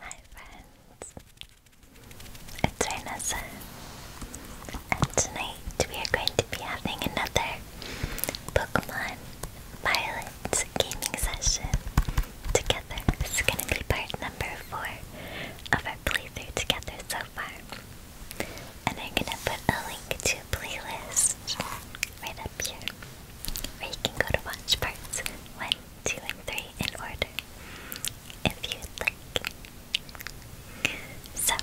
Hi friends, it's Renessa and tonight we are going to be having another Pokemon Violet gaming session together. This is going to be part number 4 of our playthrough together so far. And I'm going to put a link to playlist right up here where you can go to watch parts 1, two, and three in order, if you'd like. So,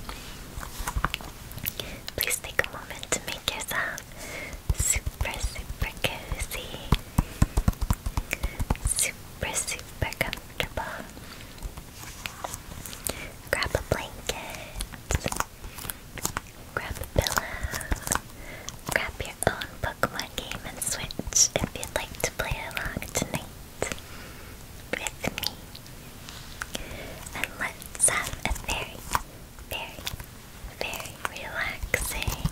please take a moment to make yourself super, super cozy, super, super comfortable. Grab a blanket, grab a pillow, grab your own Pokemon game on Switch if you'd like to play along tonight with me. And let's have a very, very, very relaxing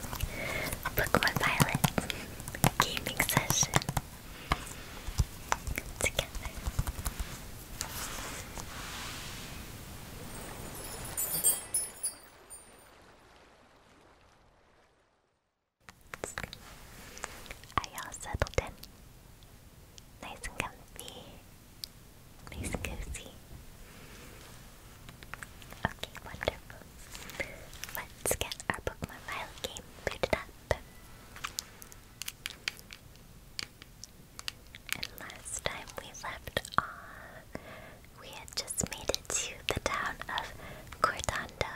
Pokemon Violet gaming session together. Are y'all settled in? Nice and comfy. Nice and cozy. Okay, wonderful. Let's get our Pokemon Violet game booted up. And last time we left off we had just made it to the town of Cordondo,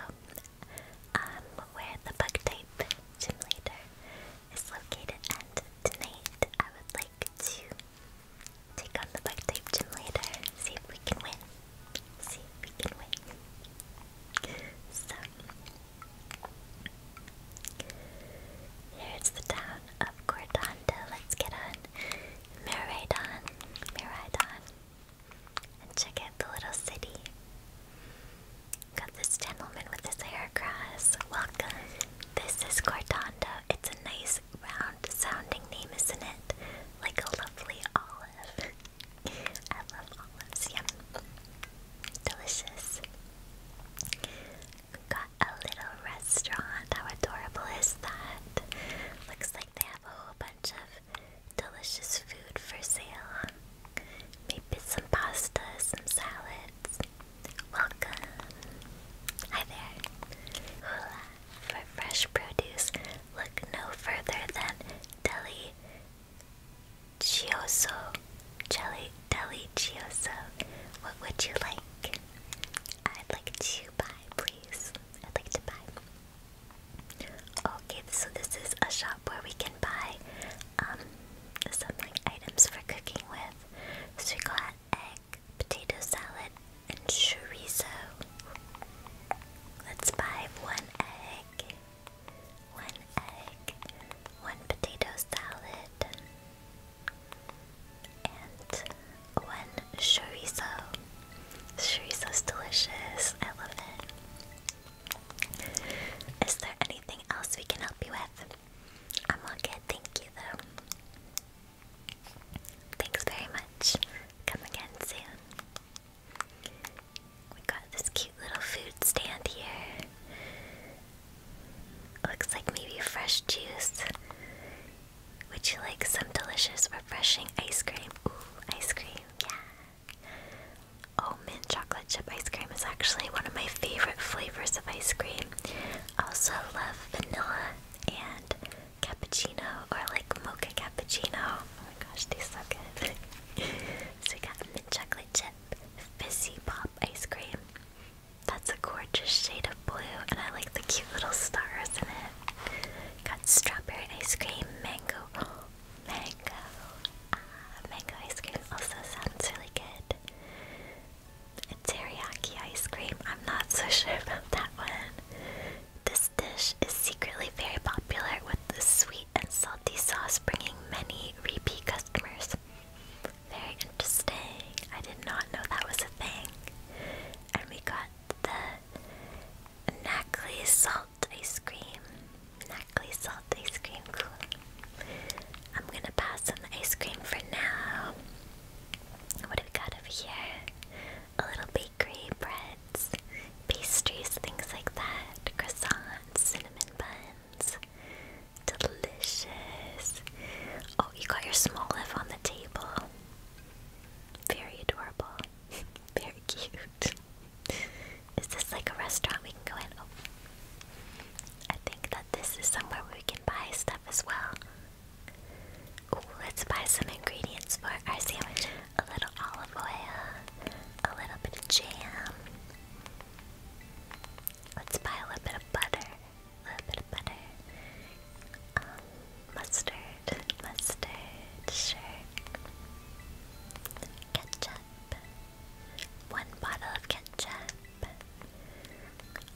um, where the bug type gym leader is located, and tonight I would like to take on the bug type gym leader, see if we can win. See if we can win. So, here's the town of Cordondo. Let's get on Miradon, Miradon. And check out the little city. Got this gentleman with his hair Welcome. This is Cortando. It's a nice round sounding name, isn't it? Like a lovely olive. I love olives, yum. Delicious. Got a little restaurant. How adorable is that? Looks like they a whole bunch of delicious food for sale. Maybe some pasta, some salads. Welcome! Hi there! Hula! For fresh produce, look no further than Deli Chioso. Jelly Deli Chioso. What would you like? I'd like to buy, please. I'd like to buy. Okay, so this is a shop where we can buy um, some items for cooking with. So we got egg, potato salad, and chorizo. Let's buy one egg, one egg, one potato salad, and one chorizo. is delicious. I love it. Is there anything else we can help you with? I'm all good, thank you though. Thanks very much. Come again soon. We got this cute little food stand here. Looks like maybe fresh juice. Would you like some delicious, refreshing ice cream? Ooh, ice cream, yeah. Oh, mint chocolate chip ice cream is actually one of my favorite flavors of ice cream. I Also love vanilla and cappuccino or like mocha cappuccino. Oh my gosh, tastes so good. so we got mint chocolate chip, fizzy pop ice cream. That's a gorgeous shade of blue and I like the cute little stars in it. Got strawberry ice cream, mango, mango, ah, mango ice cream also sounds really good. Teriyaki ice cream, I'm not so sure about that one. This dish is secretly very popular with the sweet and salty sauce, bringing many repeat customers. Very interesting. I did not know that was a thing. And we got the Nackley Salt Ice Cream. Nackley Salt Ice Cream, cool. I'm gonna pass on the ice cream for now. What do got over here? A little bakery, breads, pastries, things like that, croissants, cinnamon buns. Delicious. Oh, you got your small live on the table. Very adorable. Very cute. Is this like a restaurant we can go in? Oh. I think that this is somewhere we can buy stuff as well. let's buy some ingredients for our sandwich. A little olive oil, a little bit of jam. Let's buy a little bit of butter. A little bit of butter. Um, Mustard, mustard, sure. Ketchup. One bottle of ketchup.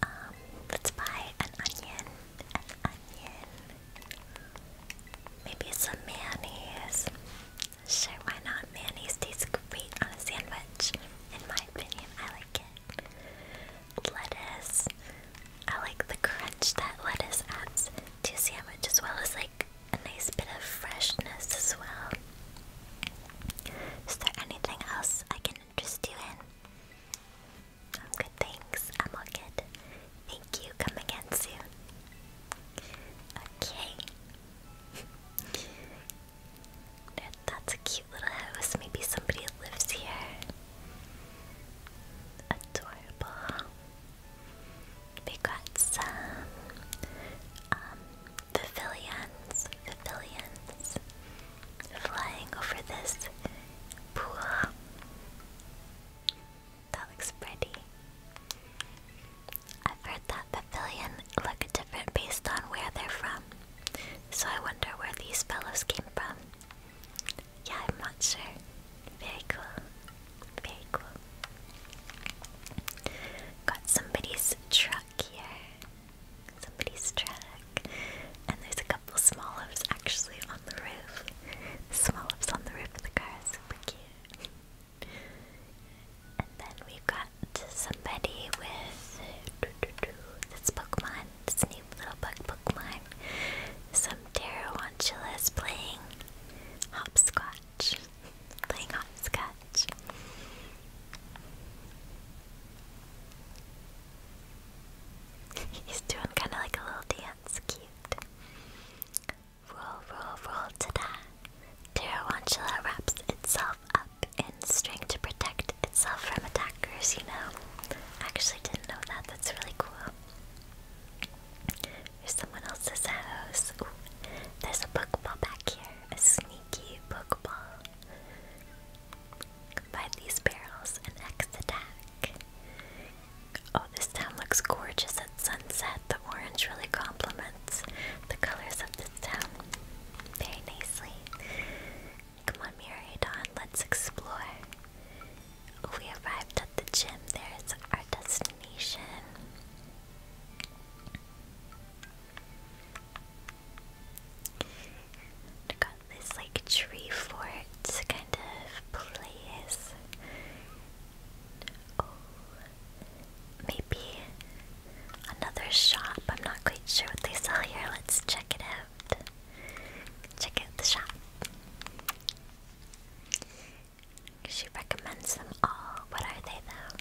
Um, let's buy an onion. An onion. Maybe some mayonnaise. Sure, why not? Mayonnaise tastes great on a sandwich. In my opinion, I like it. Lettuce. I like the crunch that lettuce adds to a sandwich as well as like a nice bit of freshness as well. Is there anything else I can interest you in? good, thanks. I'm all good. Thank you. Come again soon. Okay. that's a cute little house. Maybe somebody lives here. Adorable. We got some um pavilions, flying over this pool. That looks pretty. I've heard that pavilion look different based on where they're from. So I wonder where these fellows came from. Yeah, I'm not sure. Very cool. Very cool. Got somebody's truck here. Somebody's truck. And there's a couple small actually on the roof. Small on the roof of the car. Super cute. And then we've got somebody with this Pokemon, this new little bug Pokemon. Some Tarantula is playing hopscotch. playing hopscotch. He's doing kind of like a little dance. Cute. Roll, roll, roll, ta Tarantula wraps itself up in string to protect itself from attackers, you know. actually didn't know that. That's really cool. There's someone else's house. there's a Pokeball back here. A sneaky Pokeball. Combine these barrels and X attack. Oh, this town looks gorgeous at sunset. The orange really complements the colors of this town very nicely. Come on, Miraidon, let's explore. We arrived at the gym. There's our destination. I got this like tree fort kind of place. Oh, maybe another shop. I'm not quite sure what they sell here. Let's check it out. Check out the shop. She recommends them all. What are they though?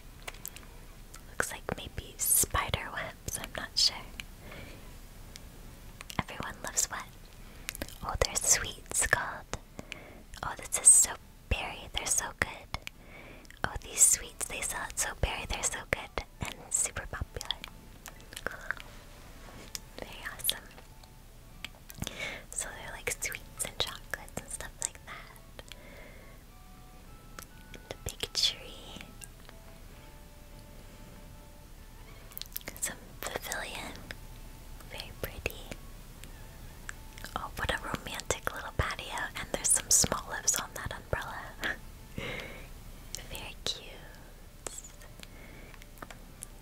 Looks like maybe spider webs, I'm not sure. Everyone loves what? Oh, they're sweets called. Oh, this is so berry, they're so good. Oh, these sweets they sell it so berry, they're so good and super popular. Very awesome. So they're like sweets and chocolates and stuff like that. The big tree. Some pavilion. Very pretty. Oh, what a romantic little patio. And there's some small lips on that umbrella. Very cute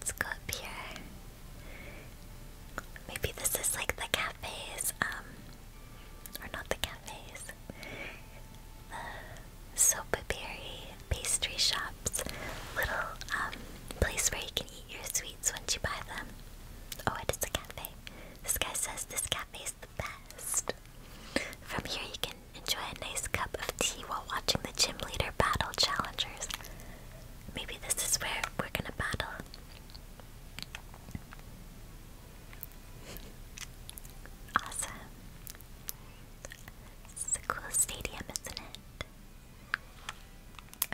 let's, go up here. Maybe this is like the cafes, um, or not the cafes, the soapberry pastry shops, little um, place where you can eat your sweets once you buy them. Oh, it is a cafe. This guy says this cafe is the best. From here, you can enjoy a nice cup of tea while watching the gym leader battle challengers. Maybe this is where we're gonna battle. awesome. This a cool stadium, isn't it?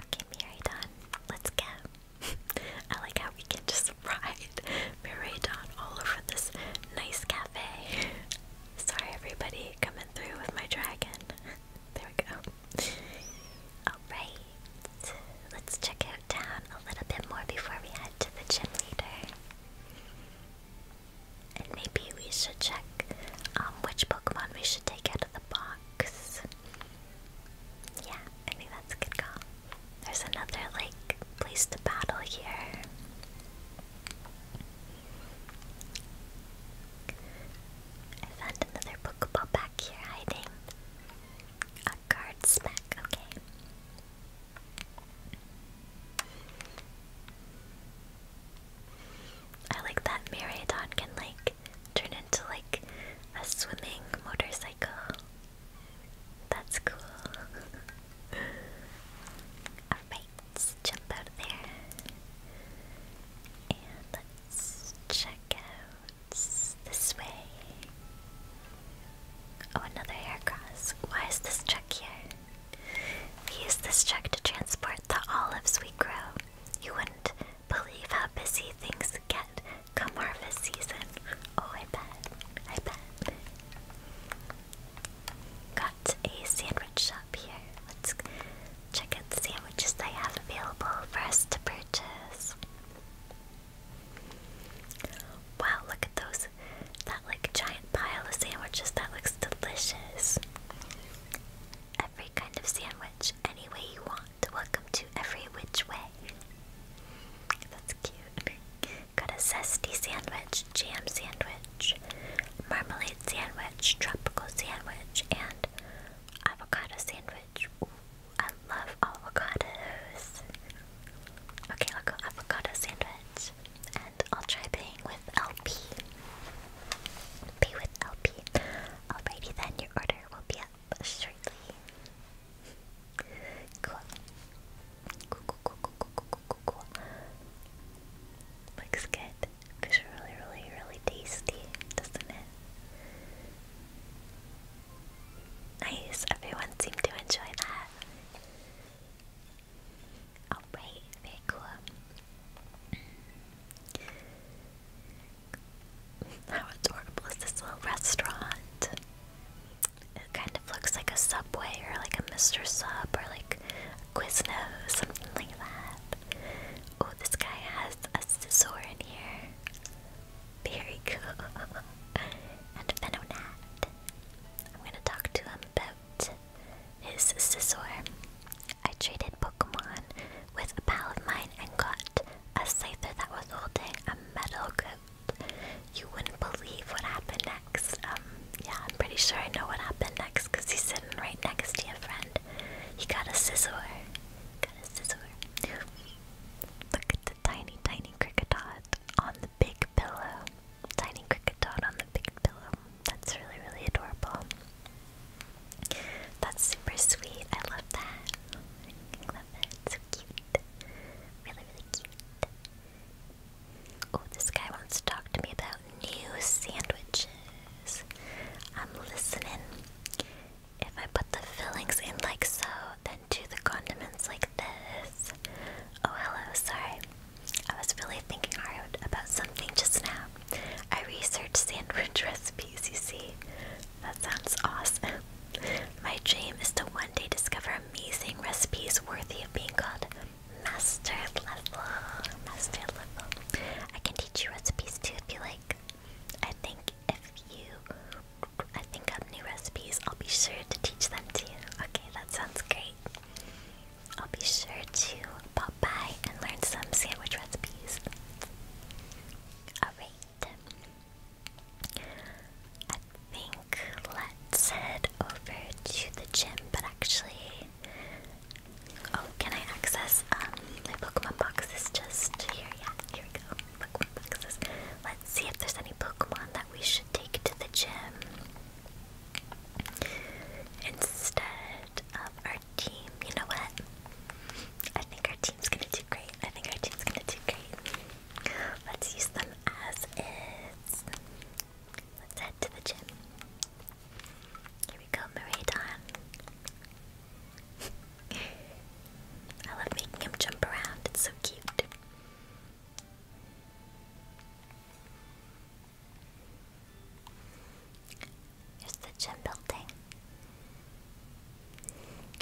Okay, Miradon, let's go. I like how we can just ride Miradon all over this nice cafe. Sorry, everybody, coming through with my dragon. There we go. Alright, let's check out town a little bit more before we head to the gym leader. And maybe we should check um, which Pokemon we should take out of the box. Yeah, I think that's a good call. There's another, like, place to battle here. I found another Pokeball back here hiding. A card smack, okay. I like that Maraudon can like turn into like a swimming motorcycle. That's cool. Alright let's jump out there. And let's check out this way. Oh, another aircross. Why is this truck here? We use this truck to transport the olives we grow. You wouldn't believe how busy things get come harvest season. Oh, I bet. I bet. Got a sandwich shop Let's check out the sandwiches they have available for us to purchase. Wow, look at those. That like giant pile of sandwiches. That looks delicious. Every kind of sandwich, any way you want. Welcome to Every Which Way. That's cute. Got a zesty sandwich, jam sandwich marmalade sandwich, tropical sandwich, and avocado sandwich. I love avocados. Okay, I'll go avocado sandwich. And I'll try paying with LP. Pay with LP. Alrighty then, your order will be up shortly. cool, cool, cool, cool, cool, cool, cool. Looks good. Because it's really, really, really tasty, doesn't it? Nice, everyone seemed to enjoy that. Alright, very cool. How adorable is this little restaurant? It kind of looks like a subway or like a Mr. Sub or like Quiznos, something like that. Oh, this guy has a scissor in here. Very cool. and Venonat. I'm gonna talk to him about his scissor. I traded Pokemon with a pal of mine and got a Scyther that was holding a metal coat. You wouldn't believe what happened next. Um, yeah, I'm pretty sure I know what happened next because he's sitting right next to a friend hand. He got a scissor. Got a scissor. Look at the tiny, tiny cricket dot on the big pillow. Tiny cricket dot on the big pillow. That's really, really adorable. That's super sweet. I love that. I love it. It's so cute. Really, really cute. Oh, this guy wants to talk to me though new sandwiches. I'm listening. If I put the fillings in like so, then do the condiments like this. Oh, hello, sorry. I was really thinking hard about something just now. I researched sandwich recipes, you see. That sounds awesome. My dream is to one day discover amazing recipes worthy of being called master level. Master level. I can teach you recipes too if you like. I think if you, I think of new recipes, I'll be sure to teach them to you. Okay, that sounds great. I'll be sure to pop by and learn some sandwich recipes. Alright. I think let's head over to the gym, but actually, Oh, can I access um my Pokemon boxes just here? Yeah, here we go. Pokemon boxes. Let's see if there's any Pokemon that we should take to the gym instead of our team. You know what? I think our team's gonna do great. I think our team's gonna do great. Let's use them as is. Let's head to the gym. Here we go, Maraidon. I love making him jump around, it's so cute. Here's the gym building.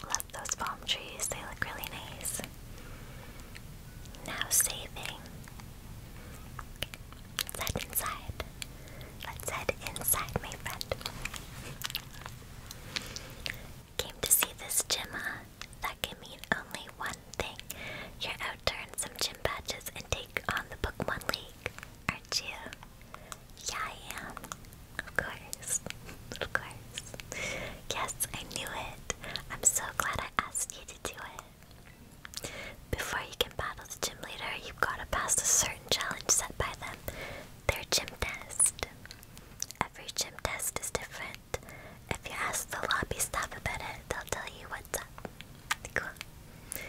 Love those palm trees, they look really nice. Now saving let inside. Let's inside, my friend. Came to see this gym, That can mean only one thing. You're out to earn some gym badges and take on the Pokemon League, aren't you? Yeah, I am. Of course. of course. Yes, I knew it. I'm so glad I asked you to do it. Before you can battle the gym leader, you've got to pass a certain challenge set by them their gym test. Every gym test is different. If you ask the lobby staff about it, they'll tell you what's up. Cool.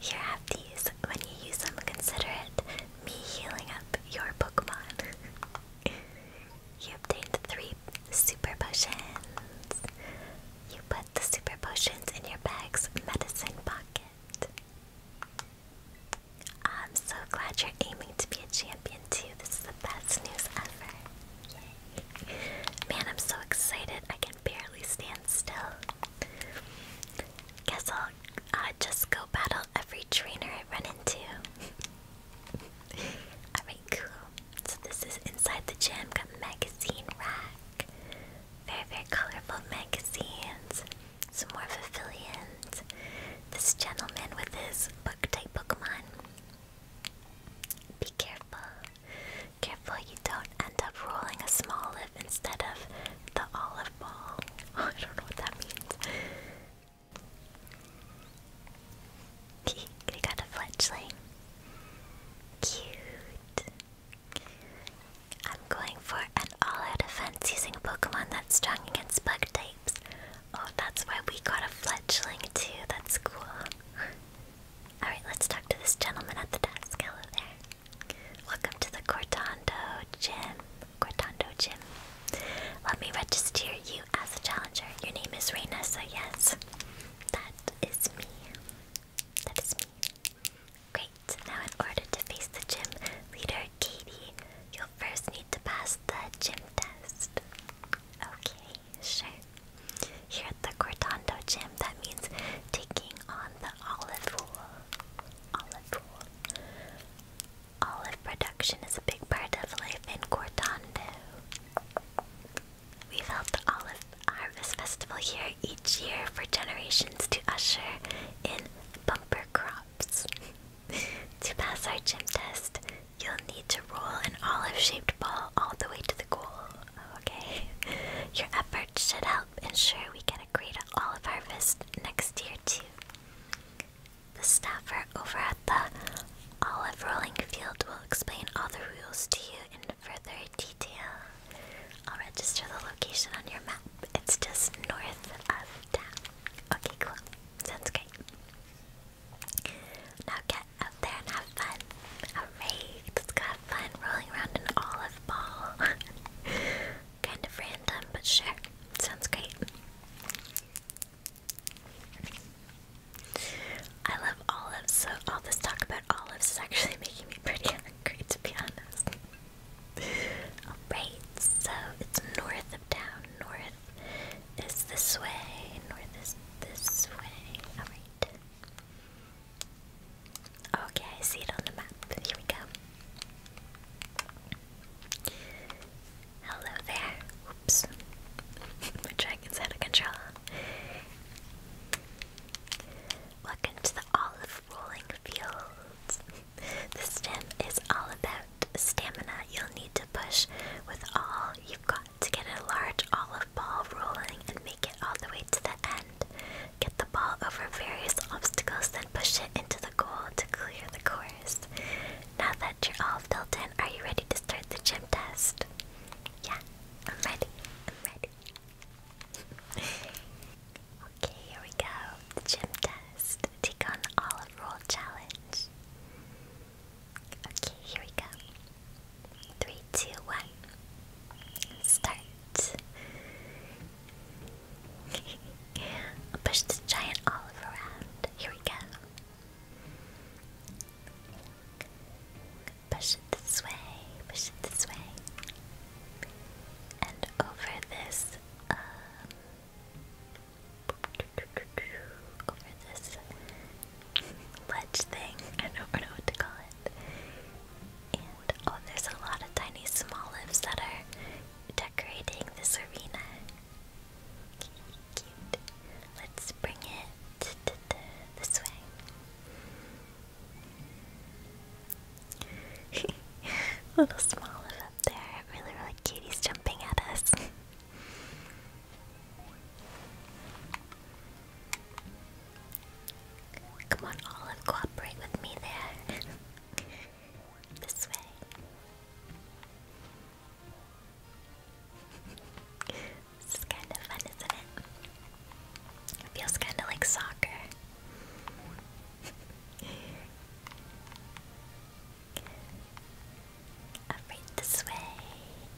Here, have these. When you use them, consider it me healing up your Pokemon. you obtained three super potions. You put the super potions in your bag's medicine pocket. I'm so glad you're aiming to be a champion too. This is the best news ever. Man, I'm so excited. I can barely stand still. Guess I'll uh, just go battle every trainer I run into. Alright, cool. So this is inside the gym. magazine rack. Very, very colorful magazines. Some more Vivilians. This gentleman with his book type Pokemon. Be careful. Careful you don't end up rolling a small lip instead of the olive ball. I don't know what that means. we got a fledgling. Cute. I'm going for an all-out offense using a Pokemon that's strong against bug types. Oh, that's why we got a fledgling too. That's cool. Alright, let's talk to this gentleman at the desk. Hello there. Welcome to the Cortando Gym. Cortando Gym. Let me register you as a challenger. Your name is Reina, so yes, that is me. That is me. Great, now in order to face the gym leader, Katie, you'll first need to pass the gym test. Okay, sure. Here at the Cortando gym, that means taking on the olive wool. Olive wool. Olive production is a big part of life in Cortando. we held the Olive Harvest Festival here each year for generations to usher in bumper crops. to pass our gym test, you'll need to roll an olive shaped ball all the way to the goal. Okay? Your efforts should help ensure we get a great olive harvest next year, too. The staffer over at the olive rolling field will explain all the rules to you further detail, I'll register the location on your map. It's just north of town. Okay, cool. Sounds great. Now get out there and have fun. Alright, let's have fun rolling around an olive ball. kind of random, but sure. Sounds great. I love olives, so all this talk about olives is actually making me pretty hungry, to be honest. Alright, so it's north of town. North is this way. North is this way. Alright. Okay, I see it on the map. Here we go. Hello there. Oops. My dragon's out of control. Welcome to the olive rolling fields. the stem is all about stamina. You'll need to push with all you've got to get a large olive ball rolling and make it all the way to the end. Get the ball over various obstacles, then push it into the goal to clear the course. Now that you're all filled in, are you ready to start the gym test? Yeah, I'm ready. I'm ready okay, here we go. The gym test. Take on the olive roll challenge. Okay, here we go. Three, two, one. Start. Push the giant olive around. Here we go. Push it this way. Push it this way. And over this, um, over this ledge thing, I don't know what to call it. oh, there's a lot of tiny small lips that are decorating this arena. Cute. Let's bring it this way. Little small up there. Really, really cute. jumping at us. Come on, Olive, cooperate with me there. this way. this is kind of fun, isn't it? It feels kind of like soccer. All right, this way,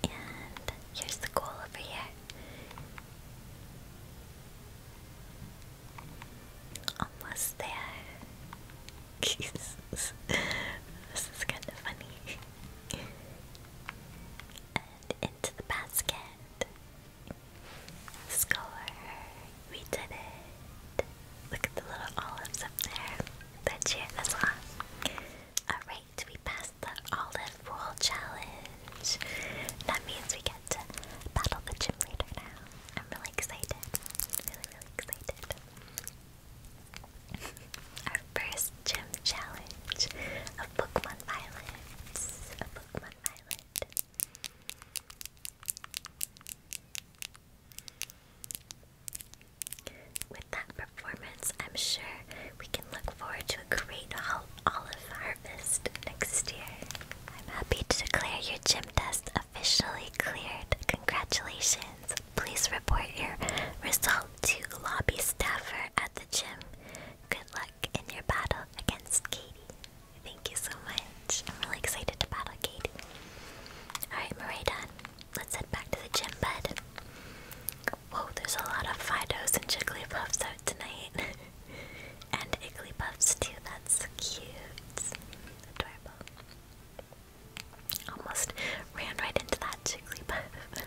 and here's the goal over here. Almost there. Jesus, this is kind of funny. and into the basket. Score! We did it! Look at the little olives up there. That cheered us on. Alright, we passed the olive roll challenge. That means we get to battle the gym leader now. I'm really excited. Really, really excited. Our first gym challenge of Pokemon Violet. Of Pokemon Violet. With that performance, I'm sure we can look forward to a great olive harvest next year. I'm happy to declare your gym test officially cleared. Congratulations! Please report your result to lobby staffer at the gym. Good luck in your battle against Katie. Thank you so much. I'm really excited to battle Kate. Alright, Maraidon, let's head back to the gym bed. Whoa, there's a lot of Fidos and Jigglypuffs out tonight. and Igglypuffs too, that's cute. Almost ran right into that Jigglypuff.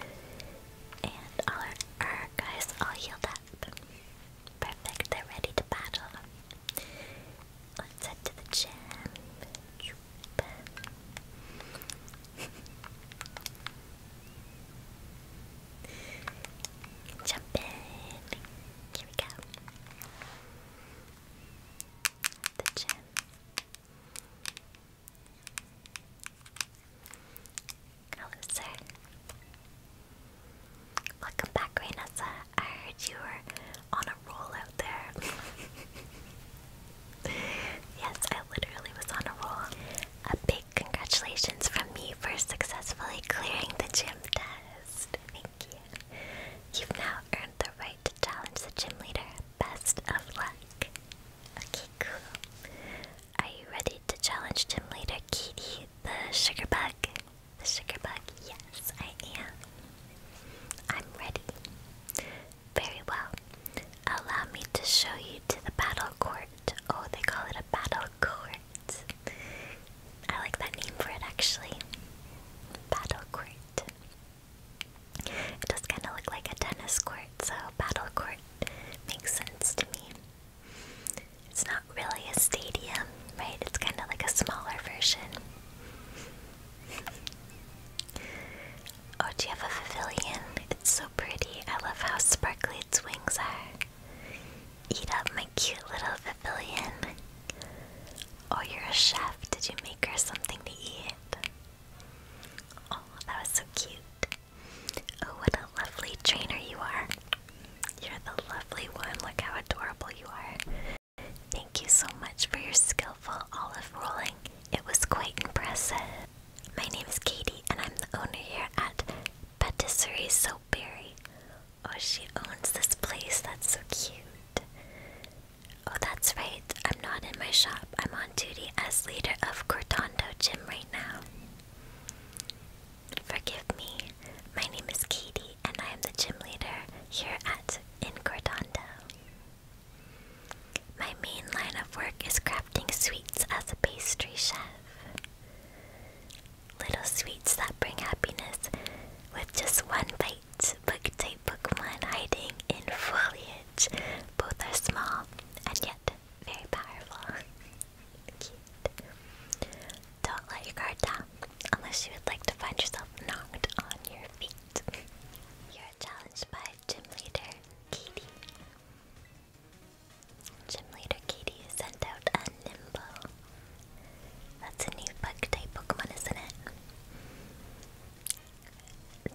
and our, our guys all healed up. Perfect, they're ready to battle. Let's head to the gym. Jump in. Here we go. The gym. Hello, sir. Welcome back, Rainessa. I heard you were on a roll out there. yes, I literally was on a roll. A big congratulations from me for successfully clearing the gym test. Thank you. You've now earned the right to challenge the gym leader. Best of luck. Okay, Are you ready to challenge gym leader Kitty the sugar bug? The sugar bug? Yes, I am. I'm ready. Very well. Allow me to show you to the battle court. Oh, they call it a battle court. I like that name for it actually. Battle court. It does kind of look like a tennis court, so battle court makes sense to me. It's not really a stadium, right? It's kind of like a smaller version. Oh, do you have a pavilion? It's so pretty. I love how sparkly its wings are. Eat up my cute little pavilion. Oh, you're a chef. Did you make her something to eat? Oh, that was so cute. Oh, what a lovely trainer you are. You're the lovely one. Look how adorable you are. Thank you so much for your skillful olive rolling. It was quite impressive. My name is Katie, and I'm the owner here at Patisserie Soapberry. Oh, she owns this place. That's so cute. Oh, that's right. I'm not in my shop. I'm on duty as leader of Cortando Gym right now. Forgive me, my name is Katie and I am the gym leader here at Incordondo. My main line of work is crafting sweets as a pastry chef. Little sweets that bring happiness with just one bite. Book book one hiding in foliage. Both are small and yet very powerful. Don't let your guard down unless you would like to find yourself knocked on your feet. You're challenged by gym leader Katie. Gym leader Katie sent out a Nimble. That's a new bug type Pokemon, isn't it?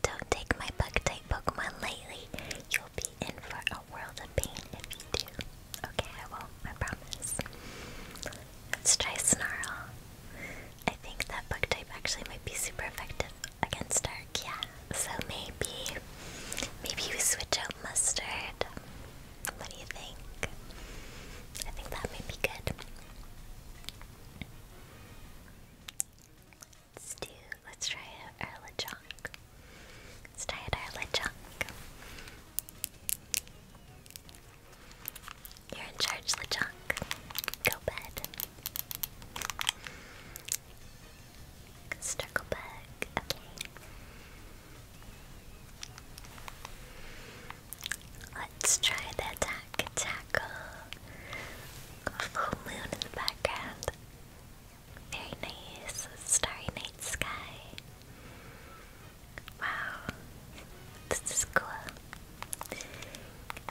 Don't take my bug type Pokemon lightly. You'll be in for a world of pain if you do. Okay, I will I promise. Let's try Snarl. I think that book type actually might be super effective against Dark, yeah. So maybe, maybe you switch out Mustard. What do you think? I think that might be good. Let's do, let's try out Arlachonk. Let's try it our Lechonk. You're in charge, Lechonk. Go bed. Circle back. Okay. Let's try the attack tackle. Full moon in the background. Very nice. Starry night sky. Wow. This is cool.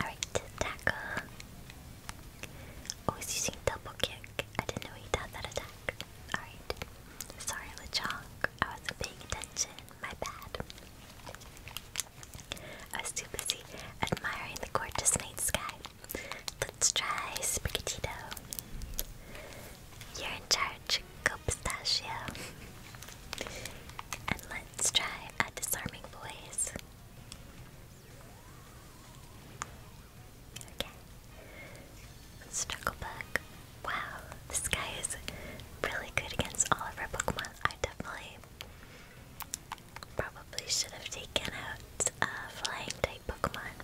Alright, tackle. Oh, using double kick. I didn't know he had that attack. Alright. Sorry, LeChonk. I wasn't paying attention. My bad. I was too busy admiring the gorgeous night sky. Let's try Sprigatito. You're in charge, go pistachio. and let's try a disarming voice. Okay. Struggle bug. Wow, this guy is really good against all of our Pokemon. I definitely probably should have taken out a flying type Pokemon.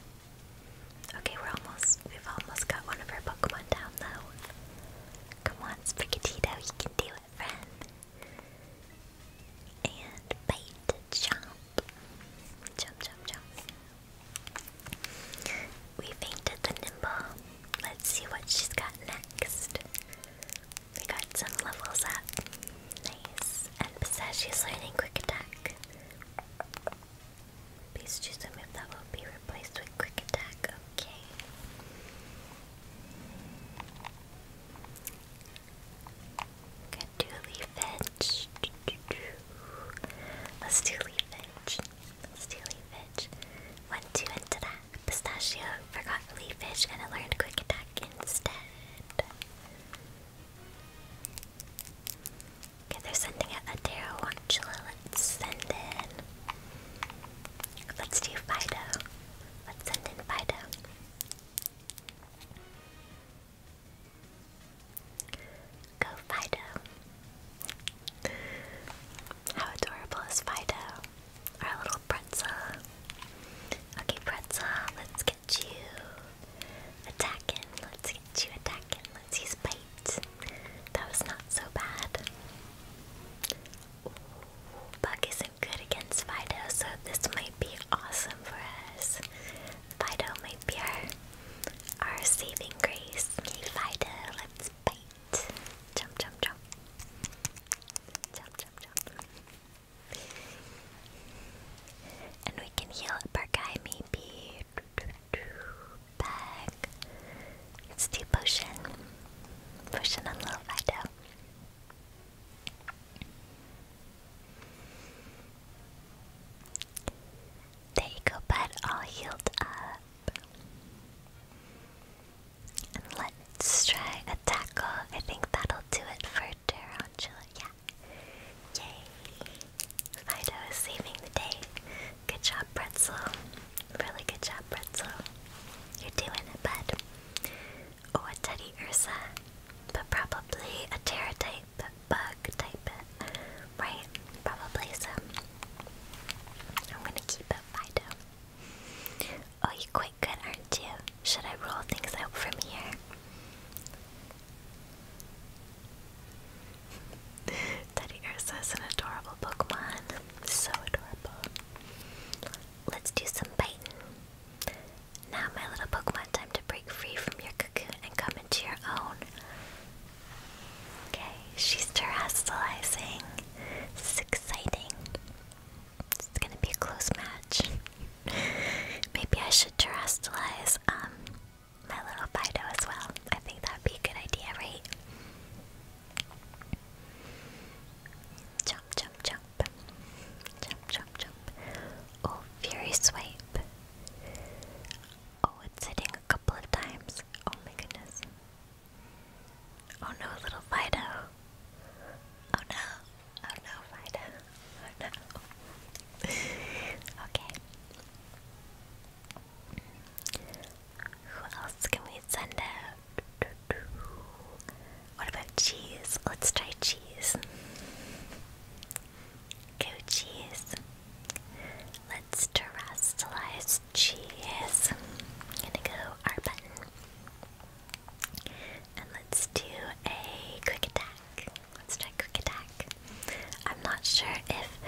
Okay, we're almost, we've almost got one of our Pokemon down though. Come on, Sprigatito, you can do it, friend. And bite, jump. Jump, jump, jump. We fainted the Nimble. Let's see what she's got next. We got some levels up. Nice. And Pistachio's learning Quick Attack. Please choose a move that will be replaced with quick attack. Okay. Good do leaf Let's do leaf Let's do leaf edge. One, into that. Pistachio forgot leaf and learned quick attack instead. Okay, they're sending out a Terrawantula. Let's send in. Let's do Fido. Let's send in Fido. Go Fido. How adorable is Fido? Our little pretzel. Okay, pretzel, let's get you attacking. Let's get you attacking. Let's use bite. That was not so bad. Ooh, isn't good against Fido, so this might be awesome for us. Fido might be our, saving grace. Okay, Fido, let's bite. Jump, jump, jump. Jump, jump, jump. And we can heal up our guy, maybe. Bag. Let's do potion. a on little Fido. There you go, bud. All healed up. And let's try a tackle. I think that'll do it for Tarantula. Yeah. Yay! Fido is saving the day. Good job, Pretzel. Really good job, Pretzel. You're doing it, Oh, a Teddy Ursa. But probably a pterotype bug type. Right? Probably so. I'm gonna keep it, Fido. Oh, you're quite good, aren't you? Should I roll things out from here? Teddy Ursa is an adorable Pokemon. So adorable. Let's do some biting. Now, my little Pokemon, time to break free from your cocoon and come into your own. Okay, she's terrestrializing. This is exciting. It's gonna be a close match. Maybe I should terrestrialize um, my little Fido as well. I think that'd be a good idea, right? Jump, jump, jump. Jump, jump, jump. Oh, Fury Swipe. Oh, it's hitting a couple of times. Oh my goodness. Oh no, little Fido. Oh no. Oh no, Fido. Oh no. okay. Who else can we send out? What about cheese? Let's try cheese. Go cheese. Let's terrestrialize cheese. I'm gonna go our button. And let's do a quick attack. Let's try quick attack. I'm not sure if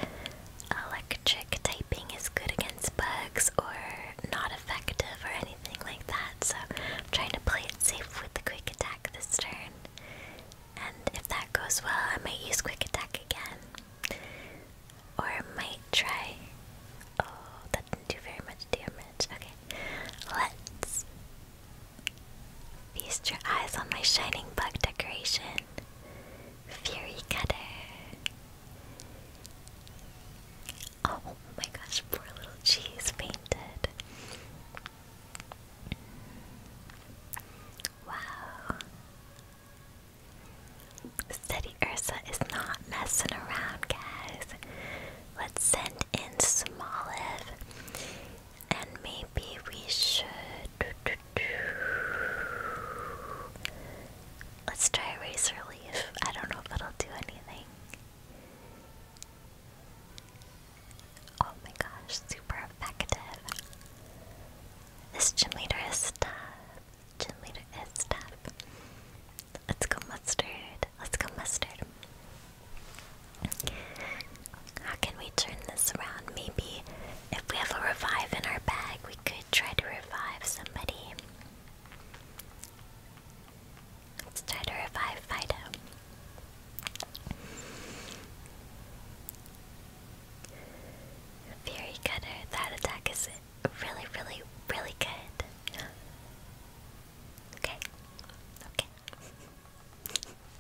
electric typing is good against bugs or not effective or anything like that, so I'm trying to play it safe with the quick attack this turn. And if that goes well, I might use quick attack again. Or I might try. Oh, that didn't do very much damage. Okay, let's feast your eyes on my shining bug decoration. Fury Cutter. Oh my gosh, poor little cheese fainted. Wow. Steady Ursa is not messing around, guys. Let's send in Smoliv. And maybe we should. Let's try Razor Leaf. I don't know if it'll do anything. Oh my gosh, super effective. This gym leader is tough. Gym leader is tough. Let's go mustard. Let's go mustard. How can we turn this around? Maybe if we have a revive in our bag, we could try to revive somebody. Let's try to revive Fido. Fury Cutter, that attack is really, really, really good. Okay. Okay.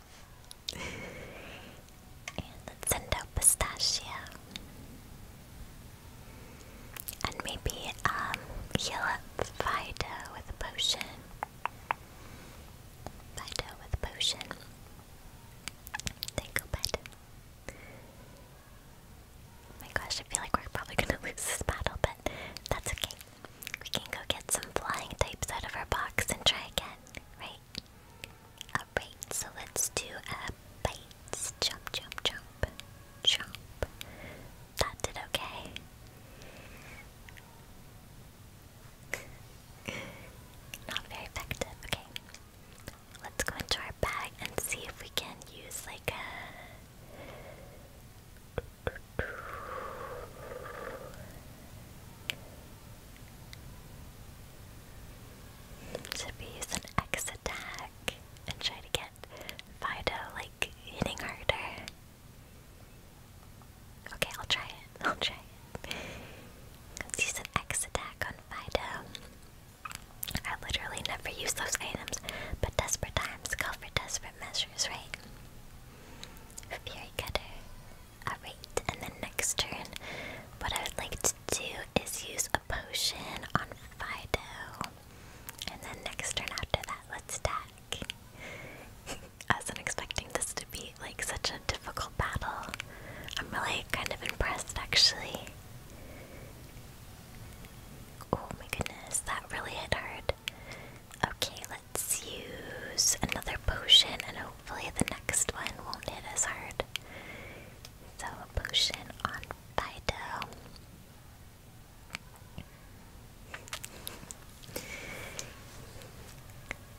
and let's send out Pistachio. And maybe um, heal up Fido with a potion. Fido with a potion. Then go bed. Oh my gosh, I feel like we're probably gonna lose this battle, but that's okay. We can go get some flying types out of our box and try again, right? Alright, so let's do a bites. Jump, jump, jump, jump. That did okay. Not very effective, okay. Let's go into our bag and see if we can use like a should we use an X attack and try to get Fido like hitting harder? Okay, I'll try it. I'll try it. Let's use an X attack on Fido. I literally never use those items, but desperate times call for desperate measures, right? Fury Cutter. Alright, and then next turn, what I would like to do is use a potion on Fido. And then next turn after that, let's attack. I wasn't expecting this to be like such a difficult battle. I'm really kind of impressed actually. Oh my goodness, that really hit hard. Okay, let's use another potion and hopefully the next one won't hit as hard. So a potion on Fido.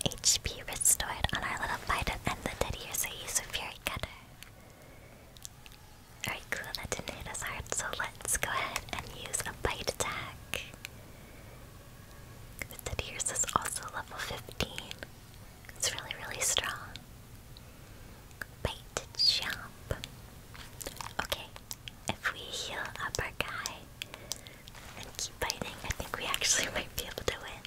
HP restored on our little Fido and the Diddy is a Fury Cutter. Alright, cool, that didn't hit so let's go ahead and use a bite attack. The Diddy's is also level 15. It's really, really strong. Bite jump. Okay, if we heal up our guy and keep biting, I think we actually might be able to win.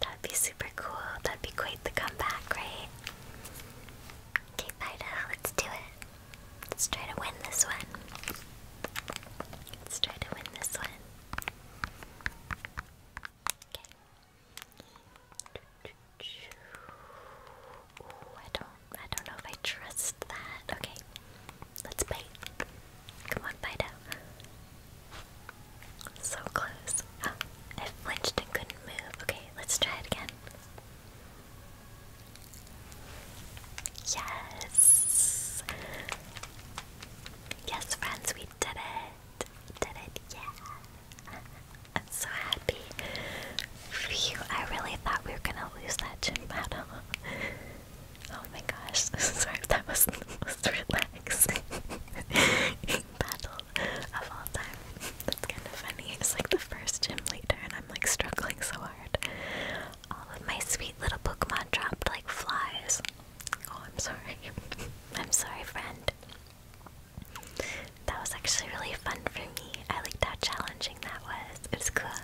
That'd be super cool. That'd be quite the comeback, right? Okay, Fido, let's do it. Let's try to win this one. Let's try to win this one. Okay. I don't I don't know if I trust that. Okay. Let's bite. Come on, bite out. So close. I flinched and couldn't move. Okay, let's try it again. Yes. Yes, friends, we did it did it, yeah. I'm so happy. I really thought we were gonna lose that gym battle. Oh my gosh, sorry that wasn't the most relaxing battle of all time. That's kind of funny. It's like the first gym leader and I'm like struggling so hard. All of my sweet little Pokemon dropped like flies. Oh, I'm sorry. I'm sorry, friend. That was actually really fun for me. I liked how challenging that was. It was cool.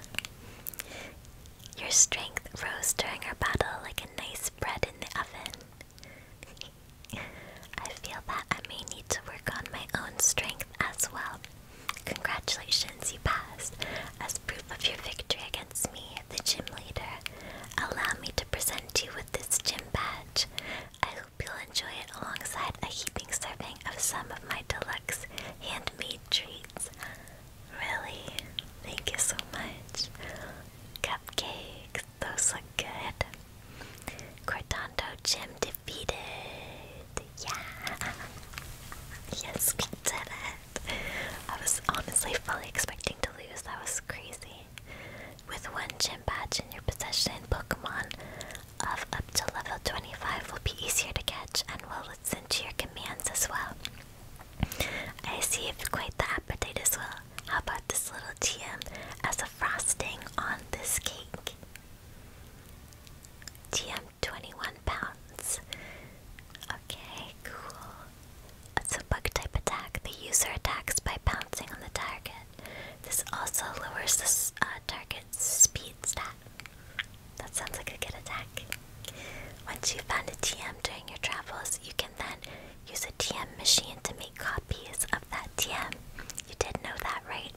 Your strength rose during our battle like a nice bread in the oven. I feel that I may need to work on my own strength as well. Congratulations, you passed. As proof of your victory against me, the gym leader, allow me to present you with this gym badge. I hope you'll enjoy it alongside a heaping serving of some of my deluxe handmade treats. Really? Thank you so much. Cupcakes, those look good. Cortando Gym defeated. Yeah. Yes, we did it. I was honestly fully expecting to lose. That was crazy. With one gym badge in your possession, Pokemon of up to level 25 will be easier to catch and will listen to your commands as well. I see you quite the appetite as well. How about this little TM as a frosting on this cake? TM 21 pounds. Okay, cool. It's a bug type attack. The user attacks by pouncing on the target. This also lowers the uh, target's speed stat. That sounds like a good attack. Once you've found a TM during your travels, you can then use a TM machine to make copies of that TM. You did know that, right?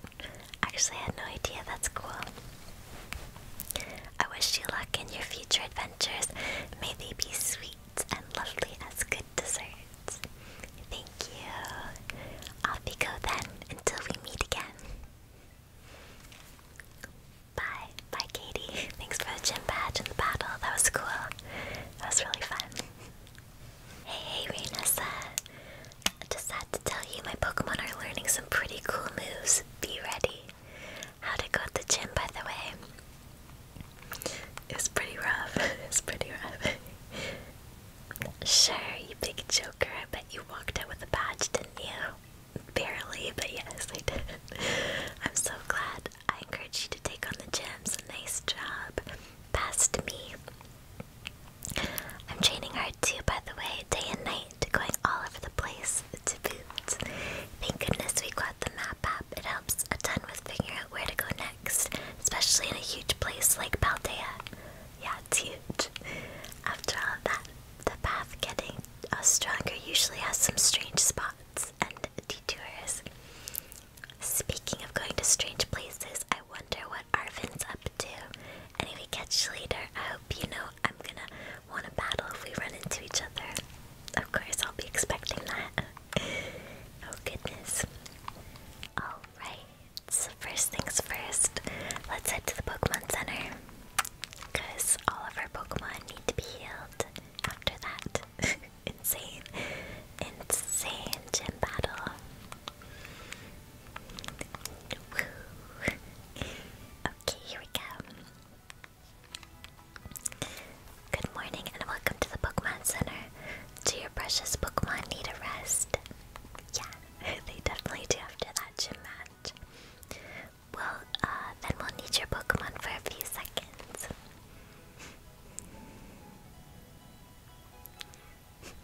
Actually, I had no idea. That's cool. I wish you luck in your future adventures. May they be sweet and lovely as good desserts. Thank you. Off we go then until we meet again. Bye. Bye, Katie. Thanks for the gym badge and the battle. That was cool. That was really fun. Hey, hey, Just had to tell you my Pokemon are learning some pretty cool moves. Be ready. How'd it go at the gym, by the way? It's pretty rough. It's pretty rough. sure, you big joker. I bet you walked out with a badge, didn't you? Barely, but yes, I did. I'm so glad. I encourage you to take on the gems. Nice job. Past me. I'm training hard too, by the way, day and night, going all over the place to boot. Thank goodness we got the map app. It helps a ton with figuring out where to go next, especially in a huge place like Paldea. Yeah, it's huge. After all that, the path getting us uh, stronger usually has some strange spots and detours. Speaking of going to strange places, I wonder what Arvin's up to. Anyway, catch later. I hope you know I'm gonna want to battle if we run into each other. Of course, I'll be expecting that. oh, goodness. Alright, so first things first, let's head to the Pokemon Center. Because all of our Pokemon need to be healed after that. Insane. Insane gym battle. okay, here we go. Good morning and welcome to the Pokemon Center. Do your precious Pokemon need a rest? Yeah, they definitely do after that gym match. Well, uh, then we'll need your Pokemon for a few seconds.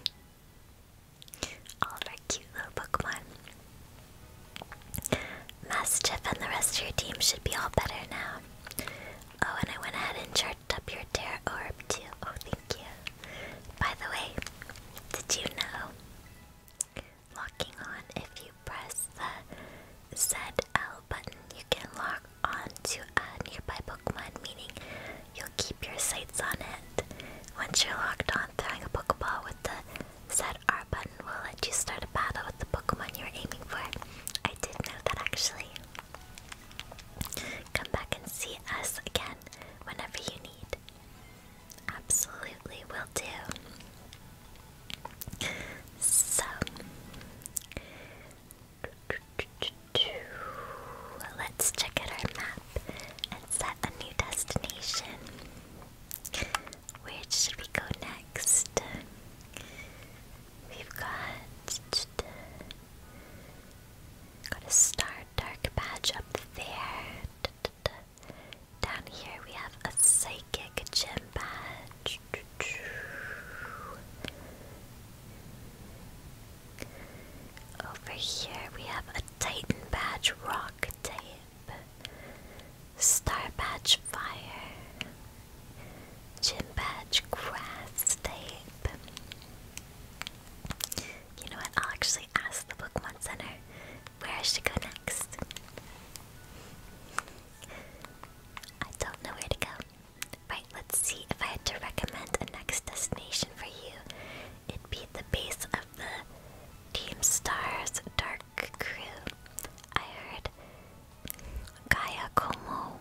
All right, cute little Pokemon. Mastiff and the rest of your team should be all better now. Oh, and I went ahead and charged up your Terra Orb too. Oh, thank you. By the way, did you know? Locking on, if you press the ZL button, you can lock on a nearby Pokemon, meaning you'll keep your sights on it. Once you're locked on, throwing a Pokeball with the ZR button will let you start battle with the Pokemon you're aiming for. I did know that actually. Come back and see us again whenever you need. Absolutely will do. So let's check out our map and set a new destination. Where should we go next? We've got got a star dark badge up there. Down here we have a psychic gem badge. Over here we have a Titan badge rock tape, Star badge fire. Jim badge grass tape. You know what? I'll actually ask the Pokemon Center where I should go next. I don't know where to go. Right, let's see if I had to recommend a next destination for you. It'd be the base of the Team Stars Dark Crew. I heard Gaia Como,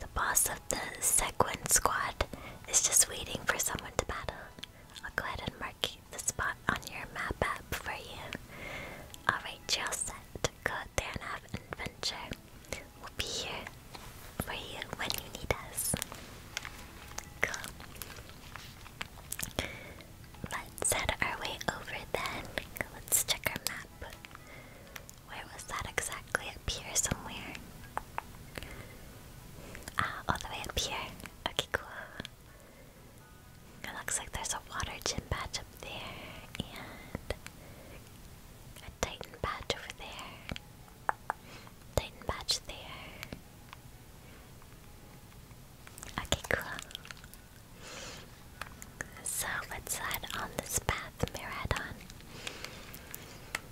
the boss of the Sequin squad, is just waiting for someone to battle. I'll go ahead and mark the spot on your map app for you. Alright, you're all set. Go out there and have an adventure. We'll be here for you when you need us. Cool. Let's head our way over then. Let's check our map. Where was that exactly? Up here somewhere. Ah, all the way up here. Okay, cool. It looks like there's a water gym badge up there and a Titan badge over there. Titan badge there. Okay, cool. So let's head on this path, Miradon.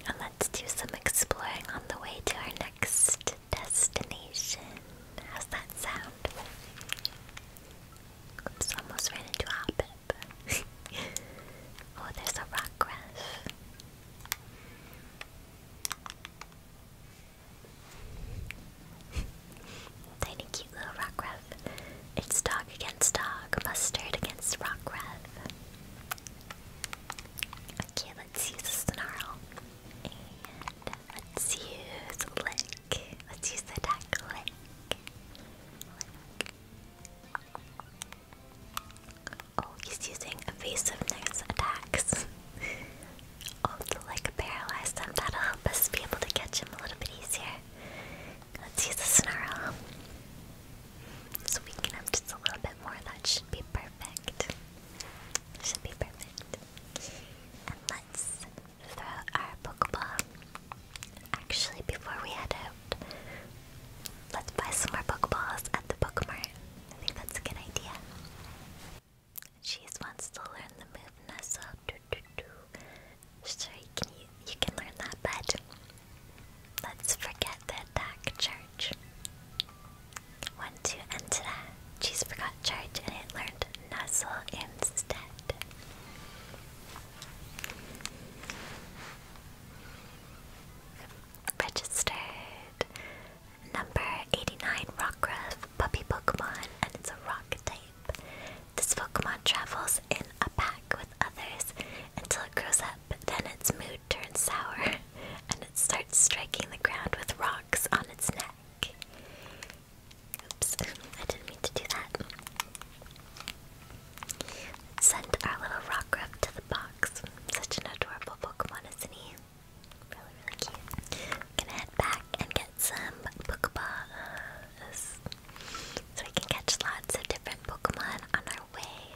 And let's do some exploring on the way to our next destination. How's that sound? Oops, almost ran into Hoppip. oh, there's a rock crash. Tiny cute little Rockruff. It's dog against dog, mustard against Rockruff. Okay, let's use Snarl. let's use Lick. Let's use the attack Lick. Oh, he's using evasiveness attacks. oh, to like paralyze That'll help us be able to catch him a little bit easier. Let's use a snarl. So up just a little bit more. That should be perfect. Should be perfect. And let's throw our Pokeball. Actually, before we head out, let's buy some more Pokeballs at the Pokemart. I think that's a good idea. She wants to learn the move Nestle. Sure, you can, learn that, but let's forget the dark charge. One, two, and ta -da. She's forgot charge and it learned nuzzle instead. Registered number 89 Rockruff puppy Pokemon, and it's a rock type. This Pokemon travels in a pack with others until it grows up, then its mood turns sour and it starts striking the ground with rocks on its neck. Oops, I didn't mean to do that. send our little rock to the box. Such an adorable Pokemon, isn't he? Really, really cute. Gonna head back and get some Pokeballs. So we can catch lots of different Pokemon on our way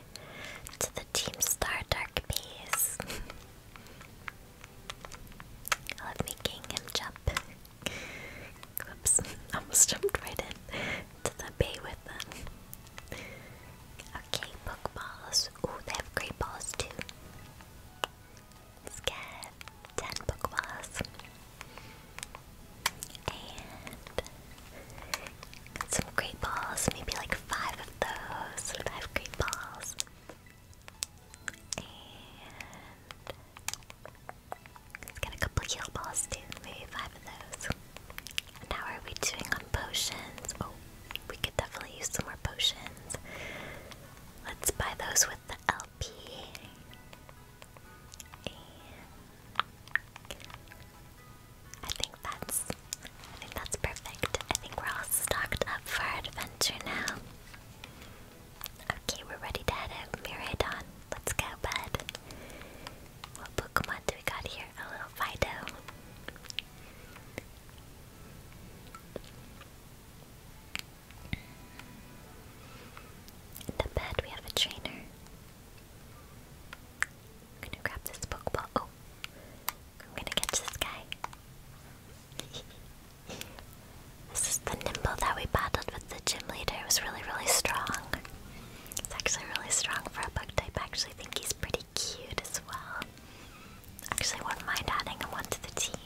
to the Team Star Dark Base. I love making him jump. Oops, almost jumped right in to the bay with them. Okay, Pokeballs. Ooh, they have great balls too. Let's get ten book balls, And some great balls, maybe like five of those. Five great balls. And let a couple heal balls too, maybe five of those. And how are we doing on potions? Oh, we could definitely use some more potions. Let's buy those with the LP. I think that's I think that's perfect. I think we're all stocked up for adventure now. Okay, we're ready to head out. Miradon. Let's go, bud. What Pokemon do we got here? A little Fido. In the bed we have a trainer. I'm gonna grab this Pokeball. Oh, I'm gonna catch this guy. this is the Nimble that we battled with the gym leader. It was really, really strong. It's actually really strong for a bug type. I actually think he's pretty cute as well. Actually, wouldn't mind adding him one to the team.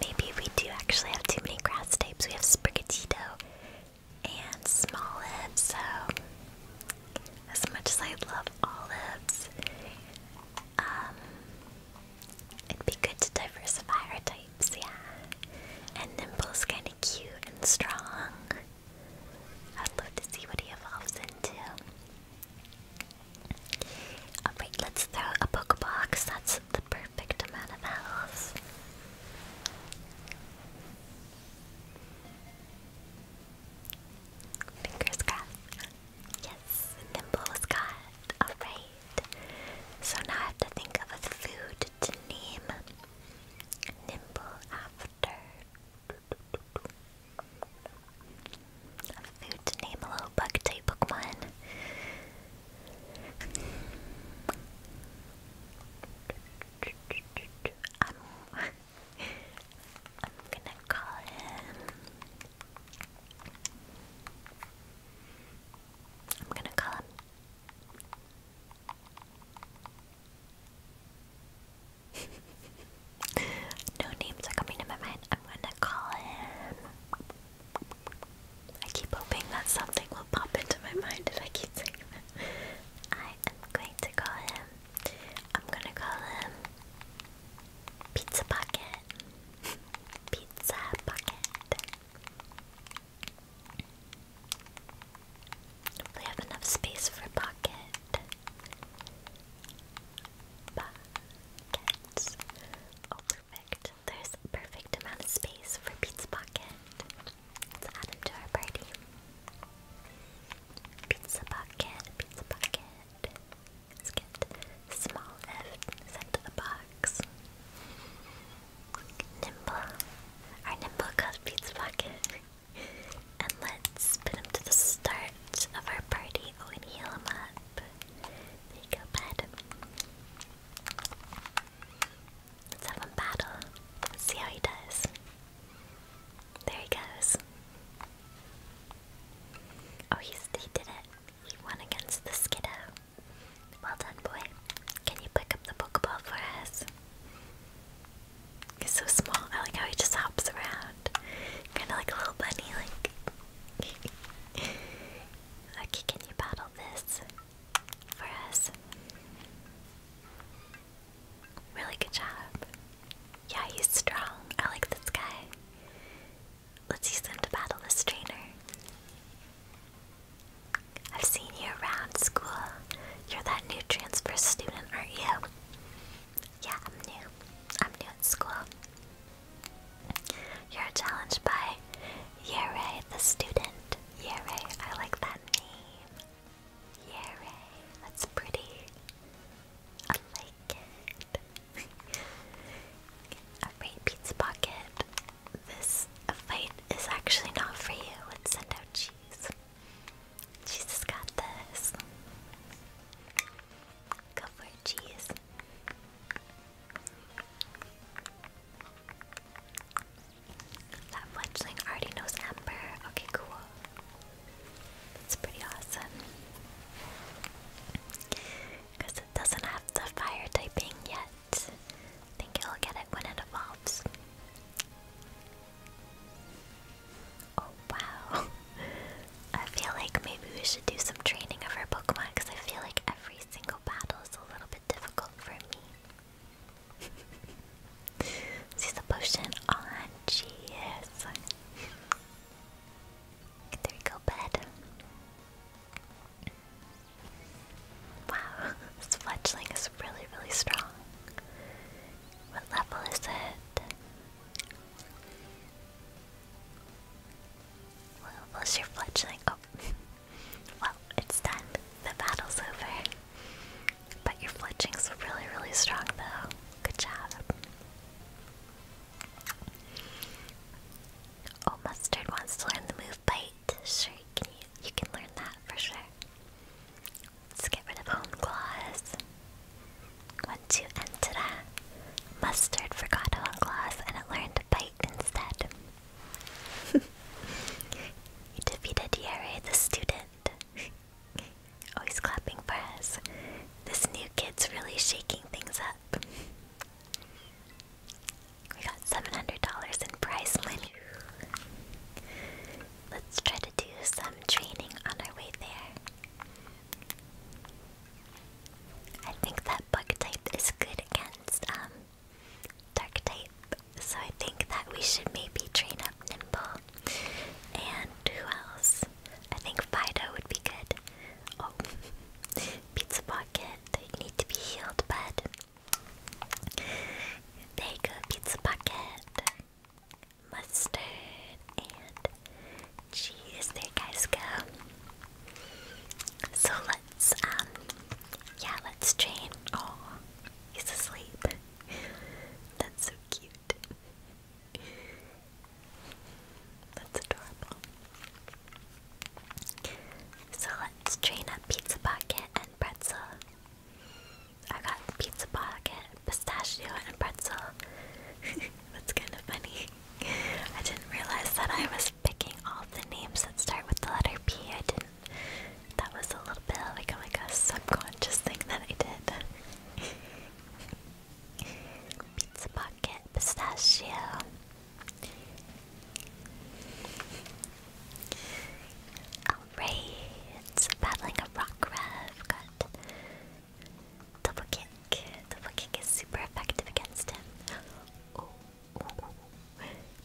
Maybe we do actually have too many grass types. We have Sprigatito and Smoliv, so as much as I love olives, um, it'd be good to diversify our types, yeah. And Nimble's kind of cute and strong. I'd love to see what he evolves into. Alright, let's throw a Pokebox. That's the bird perfect of health. Fingers crossed. Yes, Nimble was got. Alright. So now I have to think of a food to name Nimble after. A food to name a little bug type Pokemon. I'm, I'm gonna call him. I'm gonna call him. no names are coming to my mind. I'm gonna call him. I keep hoping that something will pop into my mind and I keep saying that. I am going to call him. I'm gonna call him Pizza Pocket. Pizza Pocket. We have enough space for pocket. Pockets. Oh, perfect. There's a perfect amount of space for Pete's Pocket. Let's add him to our party. Pizza Pocket, Pizza Pocket. Let's get small F sent to the box. Nimble. Our nimble called Pizza Pocket. and let's put him to the start of our party. Oh, and heal him up. There you go, bud. Let's have him battle. see how he does. There he goes. Oh, he's, he did it. He won against the Skiddo. Well done, boy. Can you pick up the Pokeball for us? He's so small. I like how he just hops around. Kind of like a little bunny, like. okay, can you battle this? for us. Really good job. Yeah, he's strong. I like this guy. Let's use him to battle this trainer. I've seen you around school. You're that new transfer student, aren't you? Yeah, I'm new. I'm new at school. You're challenged by Yere the student. Yere, I like that name. Yere, that's pretty. I like it. Alright, Pizza Pocket. This fight is actually not for you. Let's send out cheese. Cheese got this. Go for cheese. That fledgling already knows Ember. Okay, cool. That's pretty awesome. Because it doesn't have the fire typing yet. I think it'll get it when it evolves. Oh wow. I feel like maybe we should do some training of our Pokemon because I feel like every single physical battle is a little bit difficult for me. She's the potion on. Cheers. There we go, bed. Wow, this fledgling is really, really strong. What level is it? What level is your fledgling? Oh. Well, it's done. The battle's over. But your fletching's really, really strong though. Good job. Oh, Mustard wants to learn the move Bite. Sure, you, can learn that for sure. Let's get rid of Home Claws. One, two, and ta Mustard forgot Home Claws and learned Bite instead you defeated Yare the student. Always oh, clapping for us. This new kid's really shaking things up. We got $700 in prize money. Let's try to do some training on our way there. I think that bug type is good against um, dark type. So I think that we should maybe train up Nimble. And who else? I think Fido would be good. Oh, Pizza Pocket. They need to be healed, but There you go, Pizza Pocket. Mustard and cheese. There guys go. So let's, um, yeah, let's train. Oh, he's asleep. That's so cute. That's adorable. So let's train up Pizza Pocket and Pretzel. I got Pizza Pocket, Pistachio, and Pretzel. That's kind of funny. I didn't realize that I was picking all the names that start with the letter P. I didn't. That was a little bit like a, oh subconscious thing that I did. Pizza pocket, pistachio. Alright, battling a rock rev. Got double kick. Double kick is super effective against him. Oh.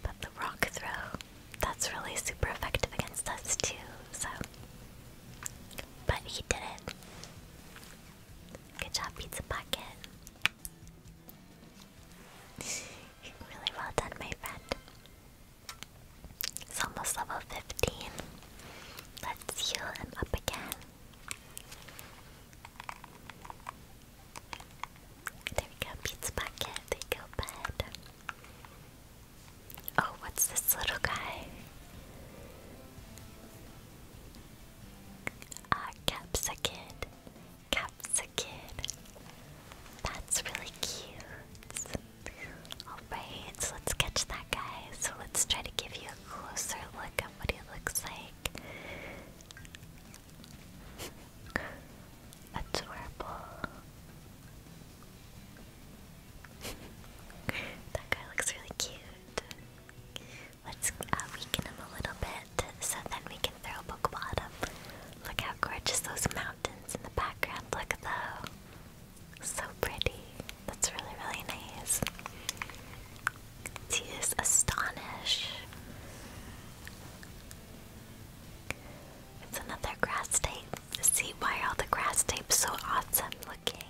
But the rock throw, that's really super effective against us too, so. But he did it. Good job, Pizza Pocket. really well done, my friend. It's almost level 15. Let's heal him up again. There we go, Pete's bucket. There go, bud. Oh, what's this little guy? Ah, Capsa Kid. That's really cute. Alright, so let's catch that guy. So let's try to give you a closer look at what he looks like. Adorable. that guy looks really cute. Let's uh, weaken him a little bit so then we can throw a Look how gorgeous those mountains in the background look though. So pretty. That's really, really nice. let Astonish. It's another grass tape. See why all the grass tape's so awesome looking.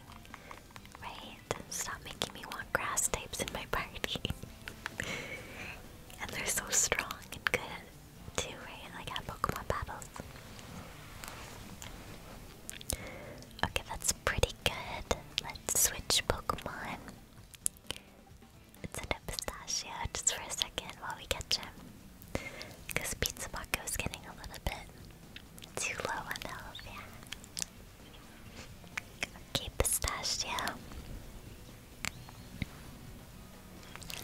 Right? Stop making me want grass tapes in my party. and they're so strong and good too, right? Like at Pokemon battles. Okay, that's pretty good. Let's switch Pokemon. Let's end up pistachio just for a second while we catch him. Because Pizza Bucko is getting a little bit too low on the yeah. Okay, pistachio.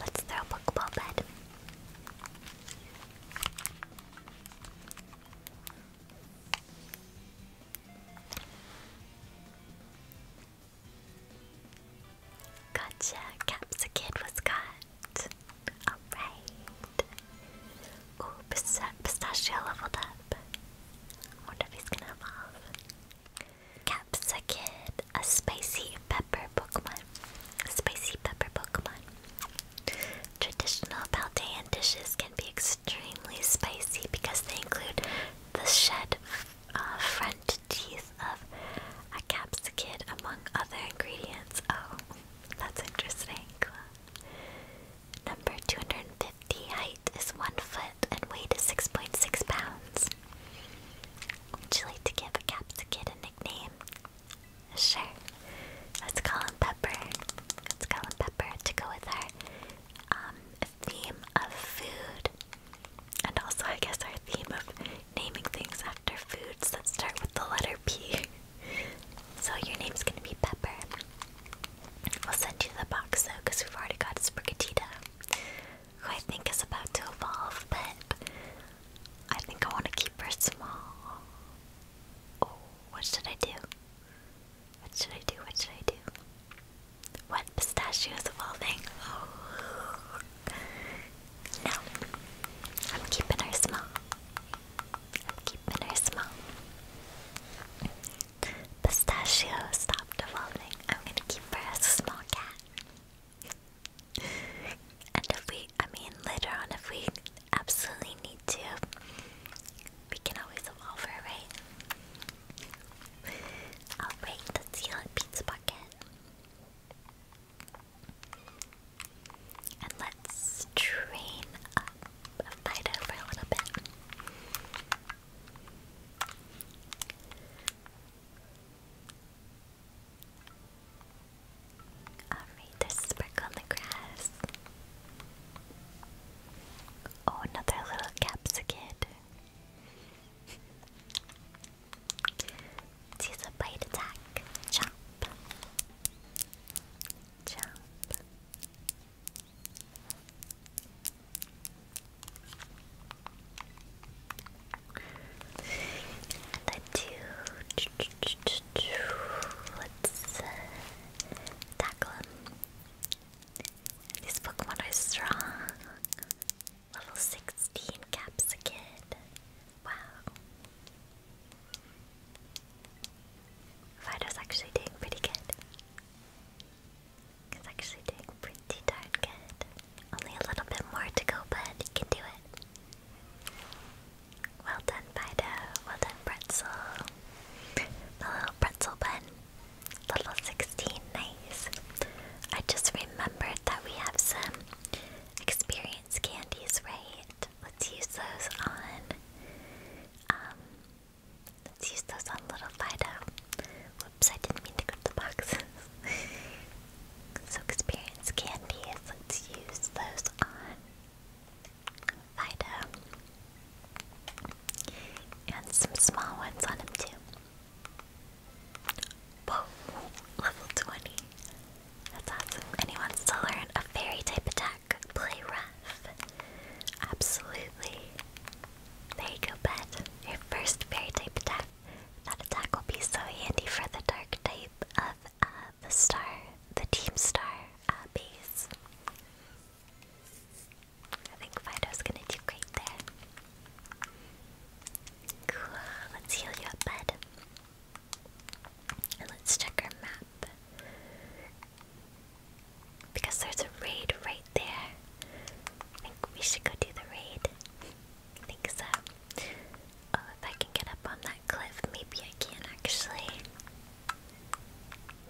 Let's throw a Pokeball bed. Gotcha, Caps was cut. Alright. Ooh, Pistachio leveled up. wonder if he's gonna evolve. Caps a spicy pepper Pokemon. spicy pepper Pokemon. Traditional Paldean dishes can be extremely spicy because they include the shed uh, front Teeth of a capsicid among other ingredients. Oh, that's interesting. Number 250 height is 1 foot and weight is six point six pounds .6 pounds. Would you like to give a capsicid a nickname? Sure. Let's call him Pepper. Let's call him Pepper to go with our um, theme of food. And also, I guess our theme of naming things after foods that start with the letter P. so your name's gonna be Pepper. We'll send you the box though, because we've already got Sprigatita, who I think is about to evolve, but I think I want to keep her small. Oh, what should I do? What should I do? What should I do? What pistachios of No, I'm keeping her small. I'm keeping her small. Pistachio stopped evolving. I'm gonna keep her a small cat. And if we, I mean, later on, if we absolutely need to, we can always evolve her, right? Oh, Alright, let's see that pizza bucket. And let's train up Fido for a little bit. Alright, there's a spark on the grass. Oh, another little capsicum. Use a bite attack. Chomp. Chomp. let Let's uh, tackle him. These Pokemon is strong. Level 16 caps a Wow. Fido's actually doing pretty good. He's actually doing pretty darn good. Only a little bit more to go, but he can do it. Well done, Fido. Well done, Pretzel. The little pretzel bun Level 16, nice. I just remembered that we have some experience candies, right? Let's use those on. Um, let's use those on Little Fido. Whoops, I didn't mean to grab the boxes. so, experience candies, let's use those on Fido. And some small ones on him, too. Whoa, level 20. That's awesome. And wants to learn a fairy type attack. Play rough. Absolutely. There you go, bud. Your first fairy type attack. That attack will be so handy for the dark type of uh, the star, the team star uh, base. I think Fido's gonna do great there. Cool, let's heal you up, bud. And let's check our map. Because there's a raid right there. I think we should go do the raid. I think so. Oh, if I can get up on that cliff, maybe I can actually.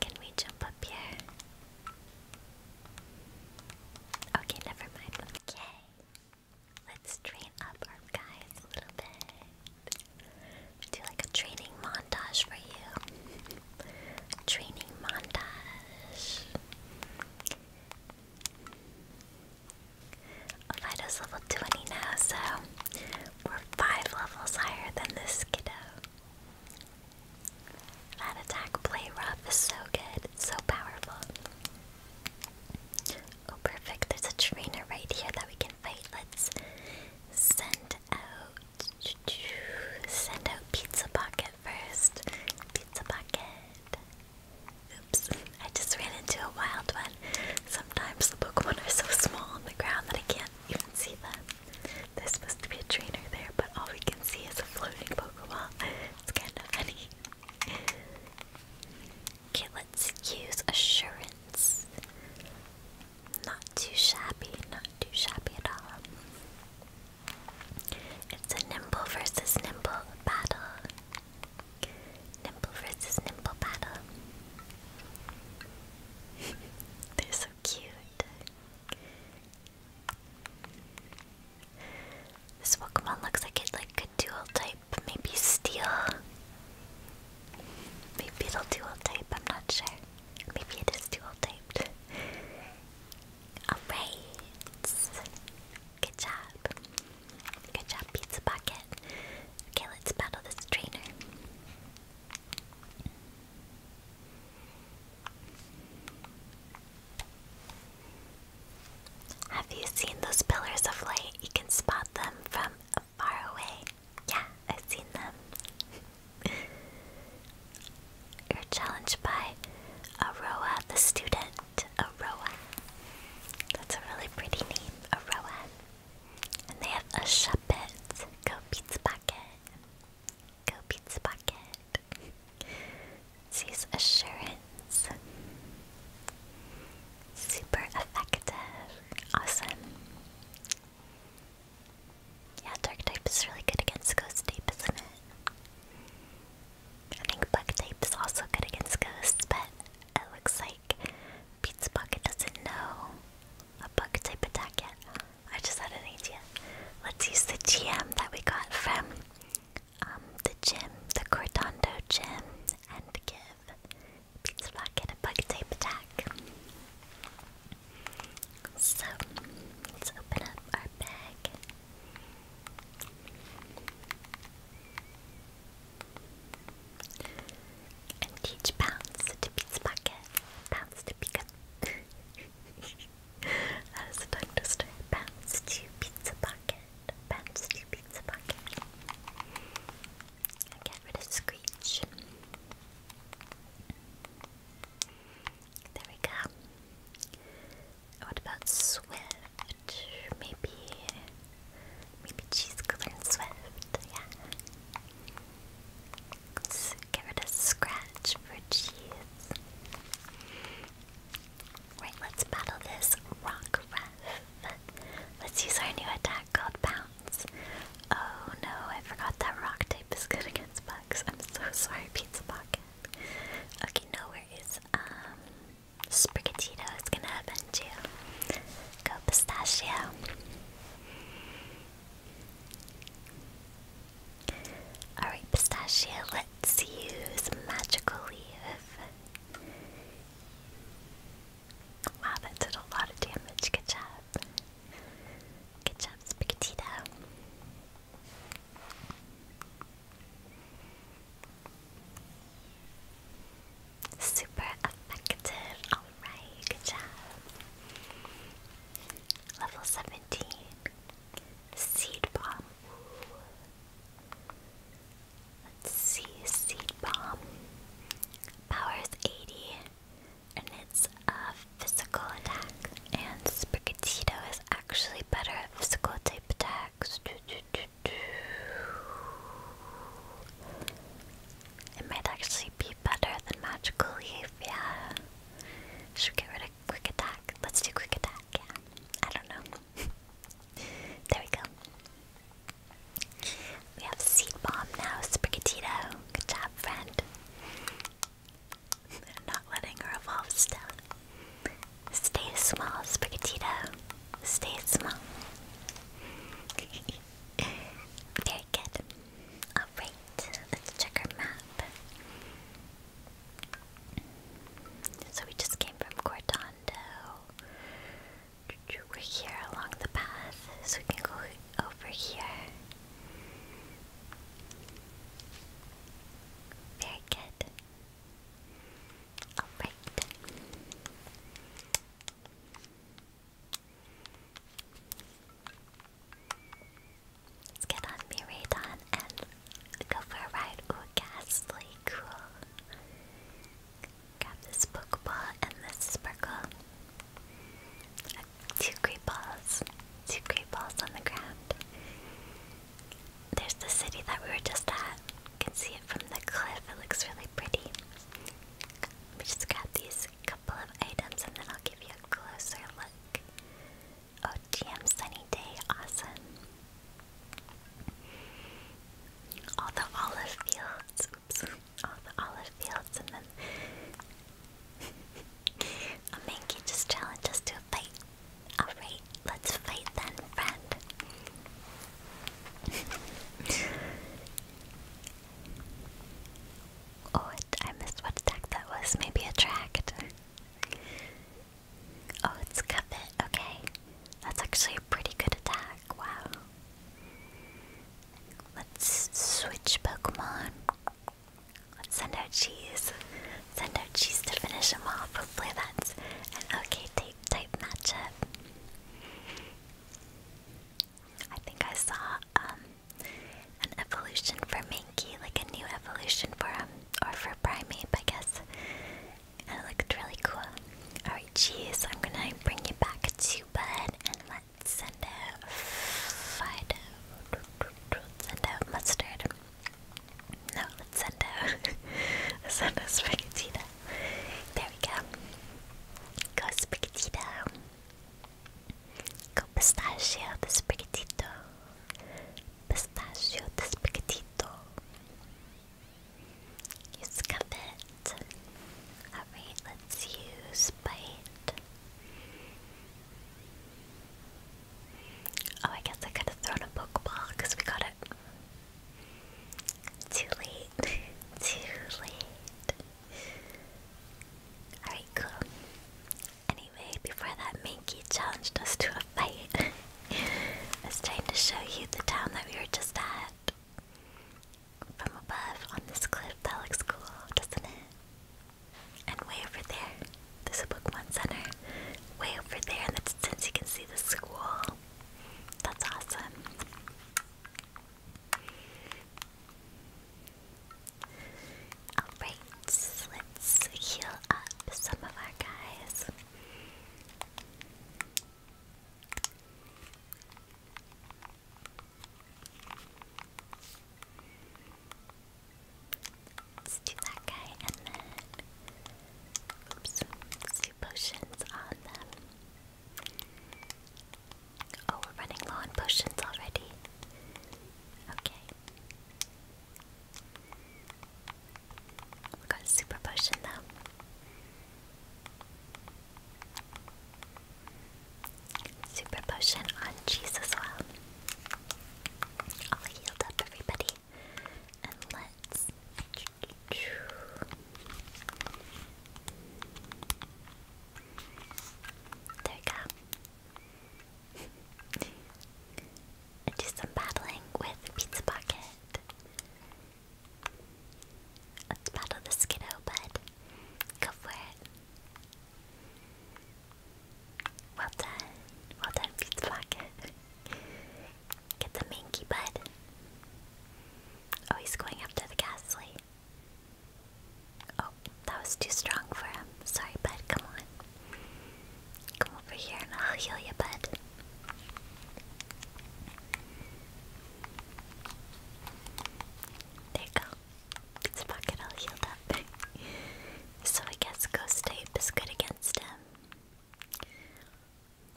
Can we jump up here? Okay, never mind. Okay. Let's train up our guys a little bit. Do like a training montage for you. training montage. Vido's level 20 now, so we're five levels higher than this kiddo. That attack play rough is so good, so powerful. Oh, perfect. There's a trainer right here that we can fight. Let's send out. Send out Pizza Pocket first. Pizza Pocket. Oops. I just ran into a wild one. Sometimes the Pokemon are so small on the ground that I can't even see them. There's supposed to be a trainer there, but all we can see is a floating Pokemon. It's kind of funny. Okay, let's use assurance. Not too shabby, not too shabby at all. It's a nimble versus nimble battle. Nimble versus nimble battle. They're so cute. This Pokemon looks like it like a dual type, maybe steel. Maybe it'll dual type, I'm not sure. Maybe it is dual typed. Alright. Good job. Good job, Pizza Pocket. Okay, let's battle this trainer. Have you seen those pillars of light? You can spot them from far away. Yeah, I've seen them. You're challenged by Aroa the student. Aroa. That's a really pretty name, Aroa. And they have a Shuppet. Go Pizza Pocket. Go Pizza Pocket mind. assurance. Super effective. Awesome. Yeah, dark type is really good against ghost type, isn't it? I think bug type is also good against ghosts, but it looks like Pizza Pocket doesn't know a bug type attack yet. I just had an idea. Let's use the GM that we got from um, the gym, the Cordondo gym, and give Pizza Rocket a bug tape attack. So, let's open up our bag. And teach Bounce to Pizza Bucket. Bounce to Pika. As a tongue twister, bounce to pizza pocket, bounce to pizza pocket. And get rid of Screech. There we go. What about Swift? Maybe, maybe Cheese Cooler and Swift. Yeah. get rid of Scratch for Cheese. Right, let's battle this rock ref. Let's use our new attack called Bounce. Oh no, I forgot that rock type is good against bugs. I'm so sorry, Pizza Pocket. Okay, nowhere is um Sprigatito is gonna avenge you. Go pistachio. Alright, Pistachio, let's use Magical Leaf. Wow, that did a lot of damage. Good job. Good job, Spigatito. Super effective. Alright, good job. Level 17. Seed bomb. Let's see, Seed Bomb. Power is 80, and it's a physical attack. And Sprigatito is actually better at physical type attacks. It might actually be better than Magical Leaf, yeah. Should get rid of Quick attack. Let's do quick attack. Yeah. I don't know. there we go. We have Seed Bomb now, Sprigatito. Good job, friend. They're not letting her evolve still. Stay small, Sprigatito. Stay small. Very good. Alright, let's check our map. So we just came from Cordondo. We're here along the path, so we can go over here. Very good. Alright. get on Miradon and go for a ride. Ooh, ghastly, cool. Grab this Pokeball and this Sparkle. two great balls. Two great balls on the ground. There's the city that we were just at. You can see it from the cliff. It looks really pretty. Let me just grab these couple of items and then I'll give you a closer look. Oh, damn! sunny day, awesome. All the olive fields, oops, all the olive fields, and then a Mankey just challenged to a fight. Alright, let's fight then, friend. oh, I missed what attack that was. Maybe attract. Oh, it's Cuphead. Okay. That's actually a pretty good attack. Wow. Let's switch Pokemon. Let's send out cheese. Send out cheese to finish him off. Hopefully that's an okay type, type matchup. I think I saw um, an evolution for Mankey, like a new evolution for him or for Primeape, I guess. That looked really cool. Alright, cheese. I'm gonna bring you back to bed and let's send out Fido. Send out mustard. No, let's send out. let's send There we go. Go Sprigatito. Go pistachio, the Sprigatito pistachio despicatito. You scuff it. Alright, let's use bite. Oh, I guess I could have thrown a Pokeball because we got it. Too late. Too late. Alright, cool. Anyway, before that, Minky challenged us to a fight. I was to show you the town that we were just at. From above on this cliff, that looks cool, doesn't it? And way over there, there's a Pokemon Center. Way over there in the distance, you can see the school. That's awesome. Alright, let's heal up some of our guys do that guy and then oops, let potions on them. Oh, we're running low on potions already. Okay. We got a super potion though. Super potion on cheese as well. All healed up, everybody. And let's. There we go. do some battling with Pizza Pocket. Let's battle the Skiddo, bud. Go for it. Well done. Well done, Pizza Pocket. Get the Minky, bud. Oh, he's going after the Ghastly. Oh, that was too strong for him. Sorry, bud. Come on. Come over here and I'll heal your butt. There you go. It's pocket all healed up. so I guess ghost tape is good against him.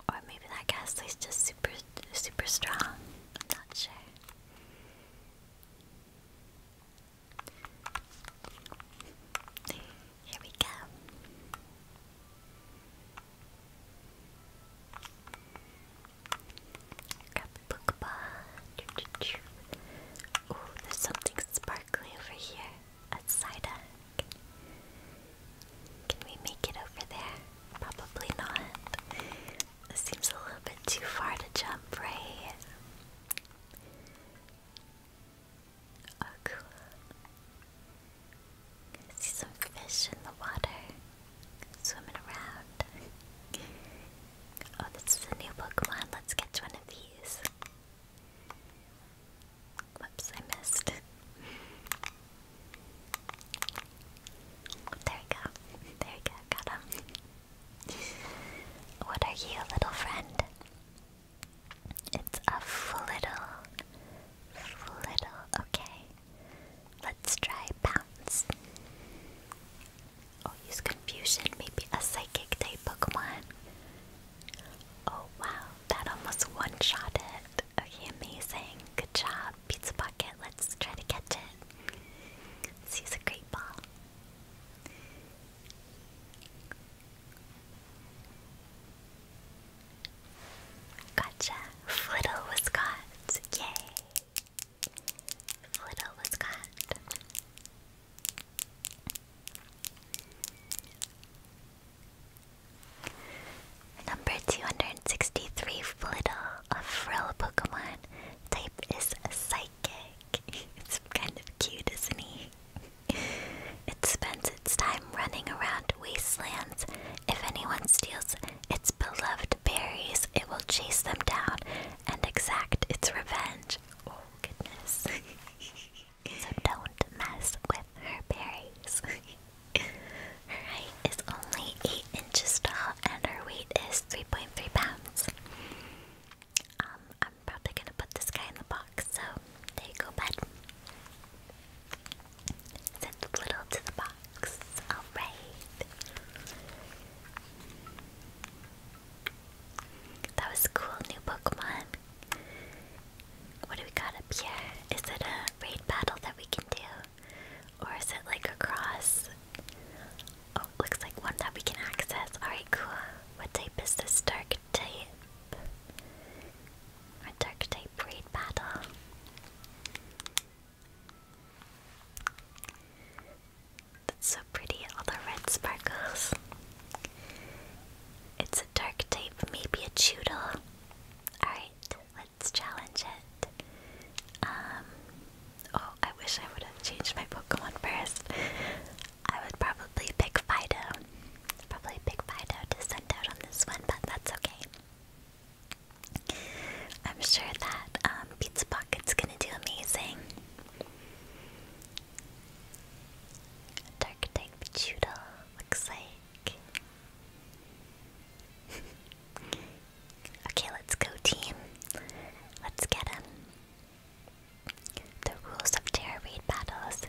Or maybe that ghastly's just super super strong. not sure. Here we go. Grab the Pokeball. Ooh, there's something sparkly over here. A Psyduck. Can we make it over there? Probably not. This seems a little bit too far to jump, right? Oh, cool. see some fish in the water swimming around. oh, this is a new Pokemon. Let's catch one of these. Whoops, I missed. There we go. There we go. Got him. what are you, little friend? It's a flittle. Flittle. Okay. Let's try bounce. Oh, use confusion. Maybe a psychic type Pokemon. Oh wow, that almost one-shot it. Okay, amazing. Good job, Pizza Pocket. Let's try to catch it. let a great ball. Gotcha. Flittle was caught. Yay. Flittle was caught. Number 263 Flittle, a frill Pokemon. Type is psychic. it's kind of cute, isn't he? It spends its time running around wastelands. If anyone steals its beloved berries, it will chase them down and exact its revenge. Oh, goodness. so don't mess with her berries. her height is only 8 inches tall and her weight is 3.3 pounds. Um, probably gonna put this guy in the box, so there go, bud. Send little to the box. Alright. That was cool, new Pokemon. What do we got up here? Is it a raid battle that we can do? Or is it like a cross? Oh, looks like one that we can access. Alright, cool. What type is this dark type? Our dark type breed battle. That's so pretty, all the red sparkles. It's a dark type, maybe a Choodle. Alright, let's challenge it. Um, oh, I wish I would have changed my Pokemon first. I would probably pick Fido. Probably pick Fido to send out on this one, but that's okay. I'm sure that um, Pizza Pocket's gonna do amazing. Dark type Judah looks like. okay, let's go, team. Let's get him. The rules of Terrorweed battles.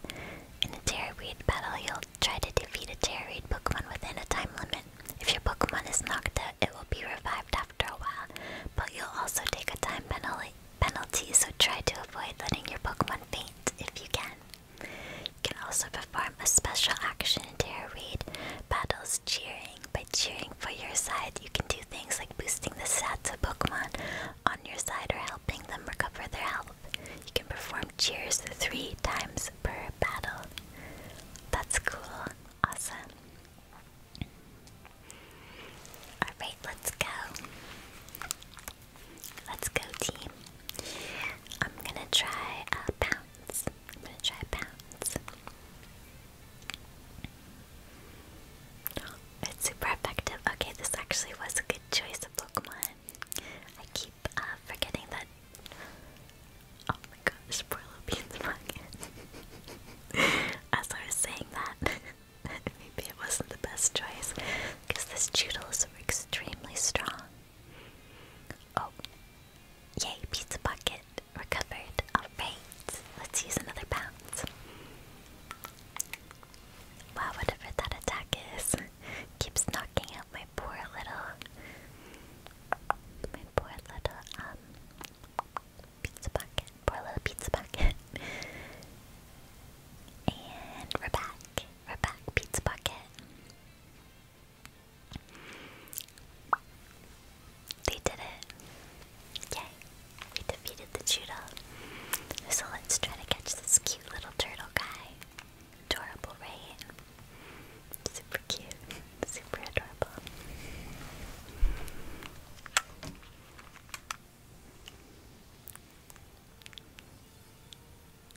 In a Terrorweed battle, you'll try to defeat a Terrorweed Pokemon within a time limit. If your Pokemon is knocked out, it will be revived after a while, but you'll also take a time penalty, so try to avoid letting your Pokemon faint if you can. You can also perform a special action in Terrorweed battles cheering. By cheering for your side, you can do things like boosting the stats of Pokemon on your side are helping them recover their health. You can perform cheers three times per battle. That's cool. Awesome. Alright, let's go. Let's go, team. I'm gonna try a uh, pounce. I'm gonna try a pounce. It's super effective. Okay, this actually was a good choice of Pokemon. I keep uh, forgetting that. Oh my gosh, poor little bean's pocket. As I was saying that, maybe it wasn't the best choice because this Toodles is extremely strong. Oh, yay! Pizza bucket recovered. All right, let's use another bounce. Wow, whatever that attack is keeps knocking out my poor little, my poor little um pizza bucket, poor little pizza bucket. and we're back, we're back, pizza bucket. They did it. Yay. We defeated the Judo. So let's try to catch this cute little turtle guy. Adorable, right? Super cute. Super adorable.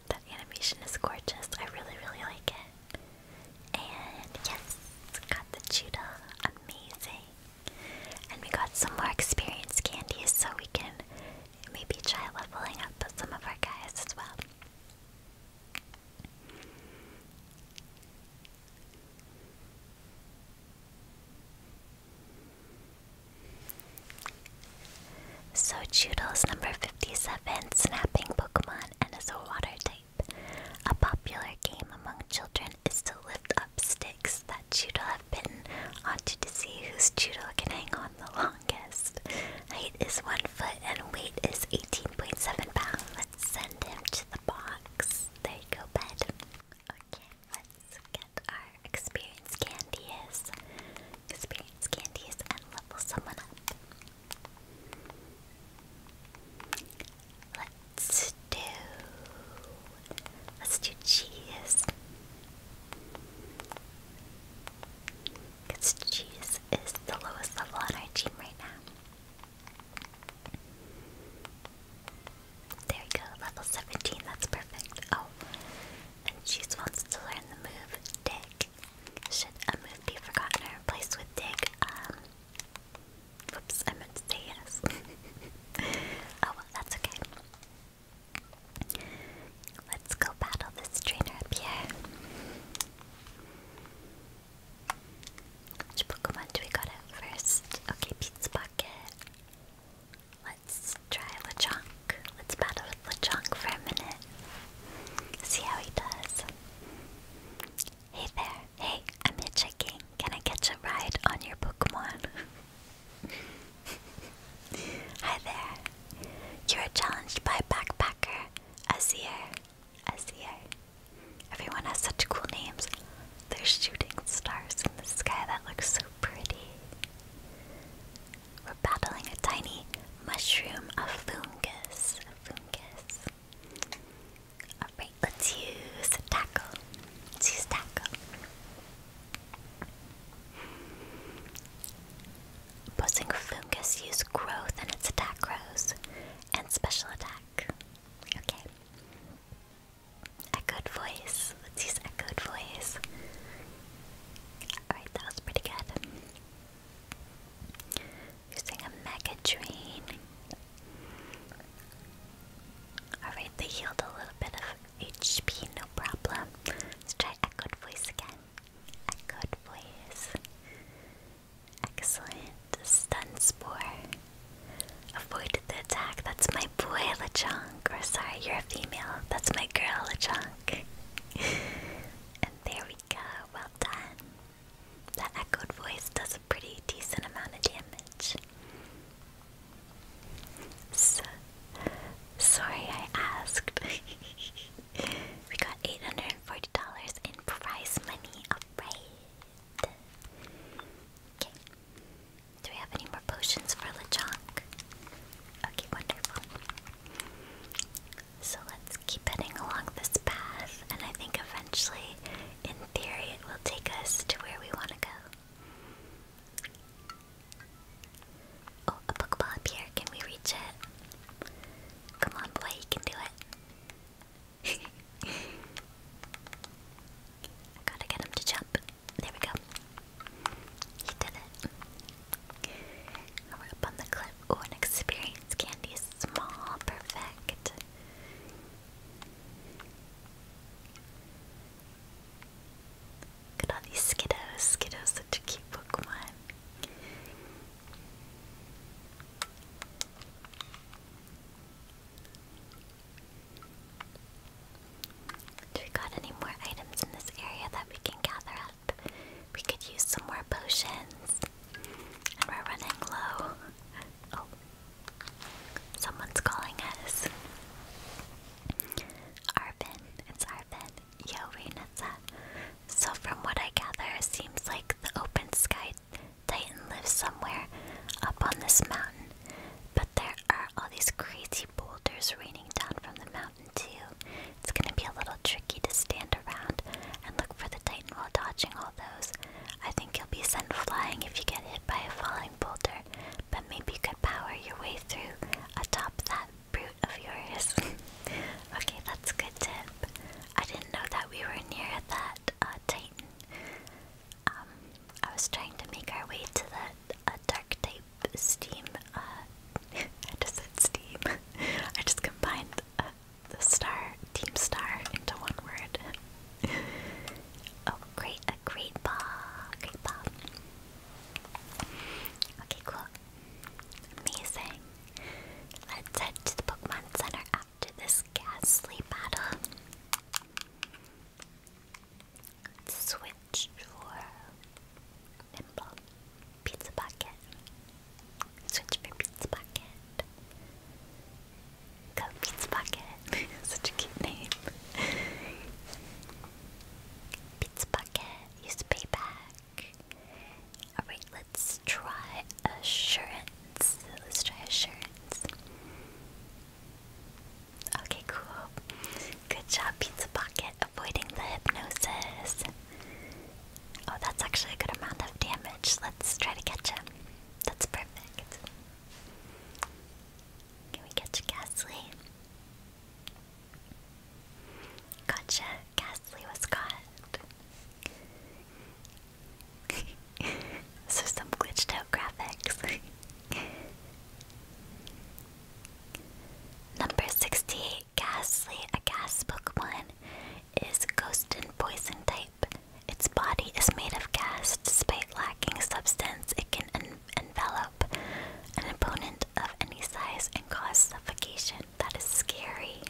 That animation is gorgeous. I really, really like it. And yes, got the cheetah. Amazing. And we got some more experience candies so we can maybe try leveling up some of our guys as well. So Chudles, number 57, snapping Pokemon and is a water type. A popular game among children is to lift up sticks that Judo have bitten onto to see whose Judo can hang on the longest. longest. Height is 1 foot and weight is 18.7 pounds. Let's send him to the box. There you go, bed. Okay, let's get our experience candies. Experience candies and level someone up. Let's do. Let's do cheese. Because cheese is the lowest level on our team right now. There we go, level 17, that's perfect. Oh, and cheese wants to learn the move dig. Should a move be forgotten or replaced with dig? Um, whoops, I meant to say yes. oh that's okay. Let's go battle this trainer up here. Pokemon do we got first? Okay, Pizza Bucket. Let's try Lechonk. Let's battle with Lechonk for a minute. See how he does. Hey there. Hey, I'm hitchhiking. Can I catch a ride on your Pokemon? Hi there. You are challenged by backpacker Azir. Azir. Everyone has such cool names. They're shooting stars in the sky that look so pretty. We're battling a tiny mushroom, a fungus. A fungus. Alright, let's use tackle. use tackle. Buzzing Fungus use growth and its attack grows, and special attack. Okay. Echoed voice. Let's use echoed voice. Alright, that was pretty good. Using a mega drain. Alright, they healed a little bit of HP, no problem. Let's try echoed voice again. Echoed voice. Excellent. Stun spore. Avoid the attack. That's my boy, Lechonk. Or sorry, you're a female. That's my girl, Lechonk. and there we go. Well done. That echoed voice does a pretty decent amount of damage. So Sorry I asked. we got $840 in prize money, alright. Okay. Do we have any more potions for LeChonk? Okay, wonderful. So let's keep heading along this path, and I think eventually, in theory, it will take us to where we want to go. Oh, a Pokeball up here. Can we reach it? Come on, boy, you can do it. gotta get him to jump. There we go. He did it. we're up on the cliff. Oh, an experience candy small. Perfect. Look at all these Skiddos. Skiddo's such a cute Pokemon. Do we got any more items in this area that we can gather up? We could use some more potions. And we're running low. Oh. Someone's calling us. Arvin. It's Arvin. Yo, Rainetza. So from what I gather, it seems like the open sky titan lives somewhere up on this mountain. But there are all these crazy boulders raining down from the mountain too. It's gonna be a little tricky to stand around and look for the titan while dodging all those. I think you'll be sent flying if you get hit by a falling boulder, but maybe you could power your way through atop that brute of yours. okay, that's a good tip. I didn't know that we were near that uh, Titan. Um, I was trying to make our way to that uh, dark type steam. Uh, I just said steam. I just combined the star, team star, into one word. oh, great! A great ball, great ball. Okay, cool. Amazing. Let's head to the Pokemon Center after this ghastly battle. switch for Nimble. Pizza Bucket. Switch for Pizza Bucket. Go Pizza Bucket. Such a cute name. Pizza Bucket use payback. Alright, let's try assurance. Let's try assurance. Okay, cool. Good job, Pizza Pocket, avoiding the hypnosis. Oh, that's actually a good amount of damage. Let's try to catch him. That's perfect. Can we catch Ghastly? Gotcha, Ghastly was caught. so some glitched out graphics. Number 68, Ghastly, a gas Pokemon, is ghost and poison type. Its body is made of gas. Despite lacking substance, it can envelop an opponent of any size and cause suffocation. That is scary.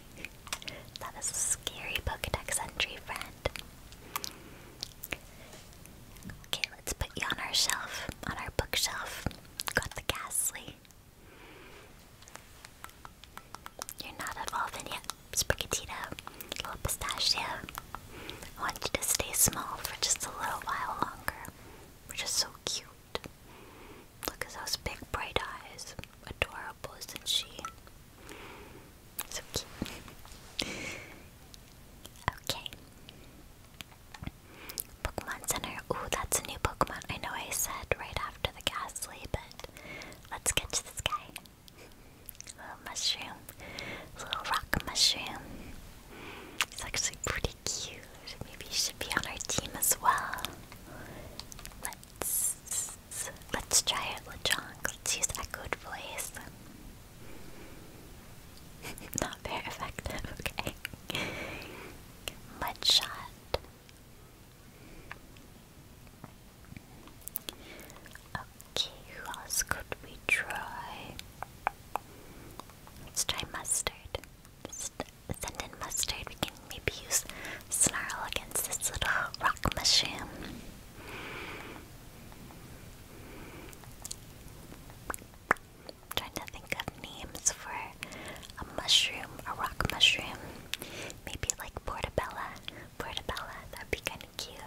That is a scary Pokedex entry, friend. Okay, let's put you on our shelf, on our bookshelf. Got the ghastly. You're not evolving yet, Sprigatito, little pistachio. I want you to stay small for just a little while longer. We're just so cute. Look at those big bright eyes. Adorable, isn't she? So cute. okay. Pokemon Center. Ooh, that's a new Pokemon. I know I said right after the Ghastly, but let's catch this guy. Little mushroom. Little rock mushroom. He's actually pretty cute. Maybe you should be on our team as well. Let's let's try it, Lechonk. Let's use echoed voice. Not very effective, okay. Okay, who else could we try? Let's try mustard send mustard. We can maybe use snarl against this little rock mushroom. I'm trying to think of names for a mushroom, a rock mushroom. Maybe like portabella. Portabella, that'd be kind of cute.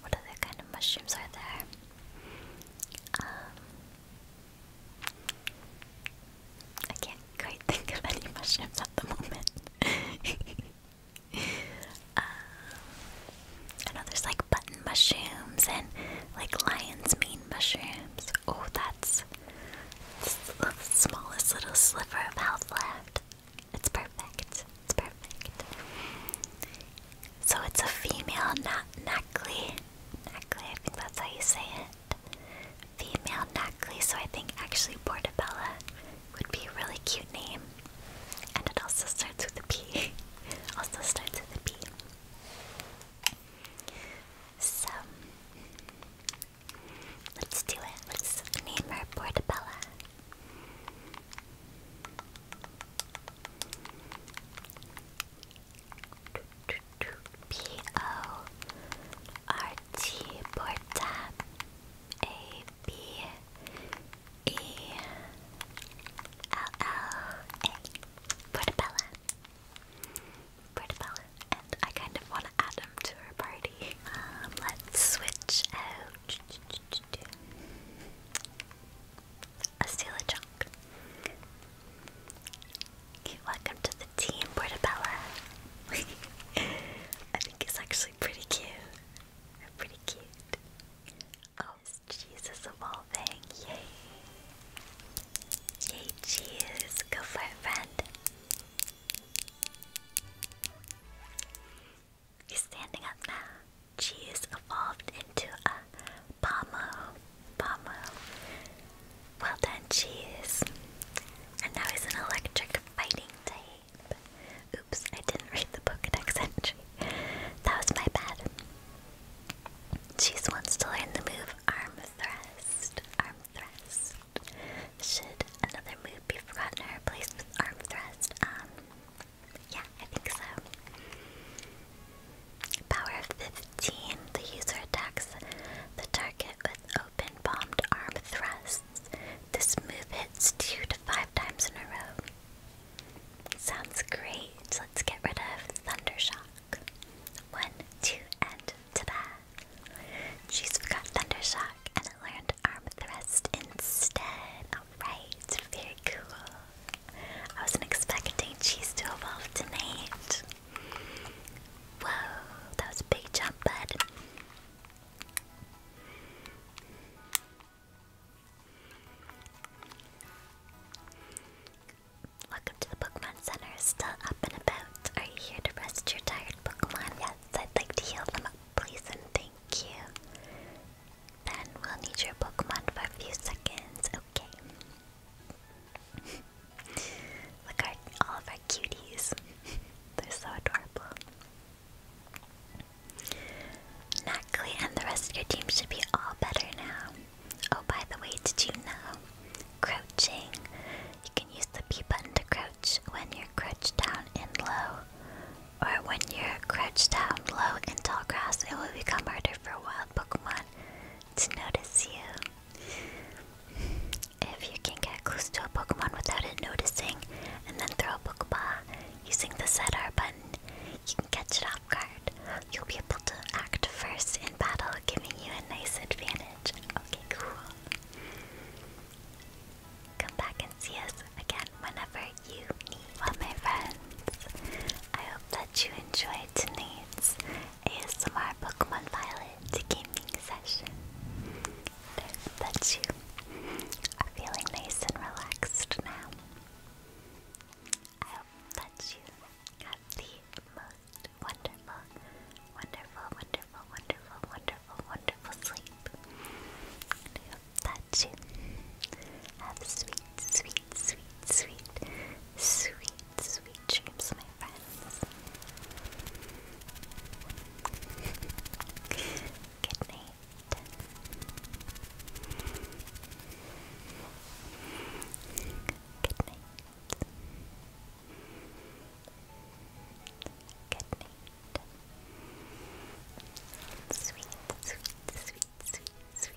What other kind of mushrooms are there? Um, I can't quite think of any mushrooms at the moment. Um, I know there's like button mushrooms and like lion's mane mushrooms. Oh, that's the smallest little sliver of health left. It's perfect. It's perfect. So it's a female, not Nackley. Nackley, I think that's how you say it. Female Nackley, so I think actually Portabella would be a really cute name. And it also starts with a P. also starts with a P. So, let's do it. Let's name her Portabella. P O R T Portabella. Portabella. And I kind of want to add him to our party. Um, let's switch out a welcome to the team, Portabella. I think it's actually pretty cute. Pretty cute. Oh, is evolving. Yay. Yay, cheese. Go for it, standing up now. Cheese evolved into a Pomo. Pomo. Well done, Cheese. And now he's an electric fighting type. Oops, I didn't read the Pokedex entry. That was my bad. Cheese wants to learn the move Arm Thrust. Arm Thrust. Should another move be forgotten or replaced with Arm Thrust? Um. Yeah, I think so. Power 15. The user attacks the target with open bombed arm thrusts. This move hits two to five times in a row. Sounds great. Let's get rid of Thunder Shock. One, two, and ta-da! She's forgot Shock and it learned Arm Thrust instead. Alright, very cool. I wasn't expecting cheese to evolve tonight. Whoa, that was a big jump, bud. Welcome to the Pokemon Center. Still up and about. Are you here to rest your tired Pokemon? Yes, I'd like to heal them up, please, and thank you. Then we'll need your Pokemon for a few seconds. Okay. Look at all of our cuties. They're so adorable. Natalie and the rest of your team should be all better now. Oh, by the way, did you know? Crouching. You can use the B button to crouch when you're crouched down and low. Or when you're crouched down low in tall grass, it will become harder for wild Pokemon to notice you. If you can get close to a Pokemon without it noticing and then throw a Pokeball using the ZR button, you can catch it off guard. You'll be able to act first in battle, giving you a nice advantage. Okay, cool. Come back and see us again whenever you need. Well, my friends, I hope that you enjoyed tonight's ASMR Pokemon Violet gaming session. I hope that you are feeling nice and relaxed now. I hope that you have the most wonderful, wonderful, wonderful, wonderful, wonderful, wonderful sleep. I hope that you have sweet, sweet, sweet, sweet Sweet, sweet dreams, my friends. Good night. Good sweet, sweet, sweet, sweet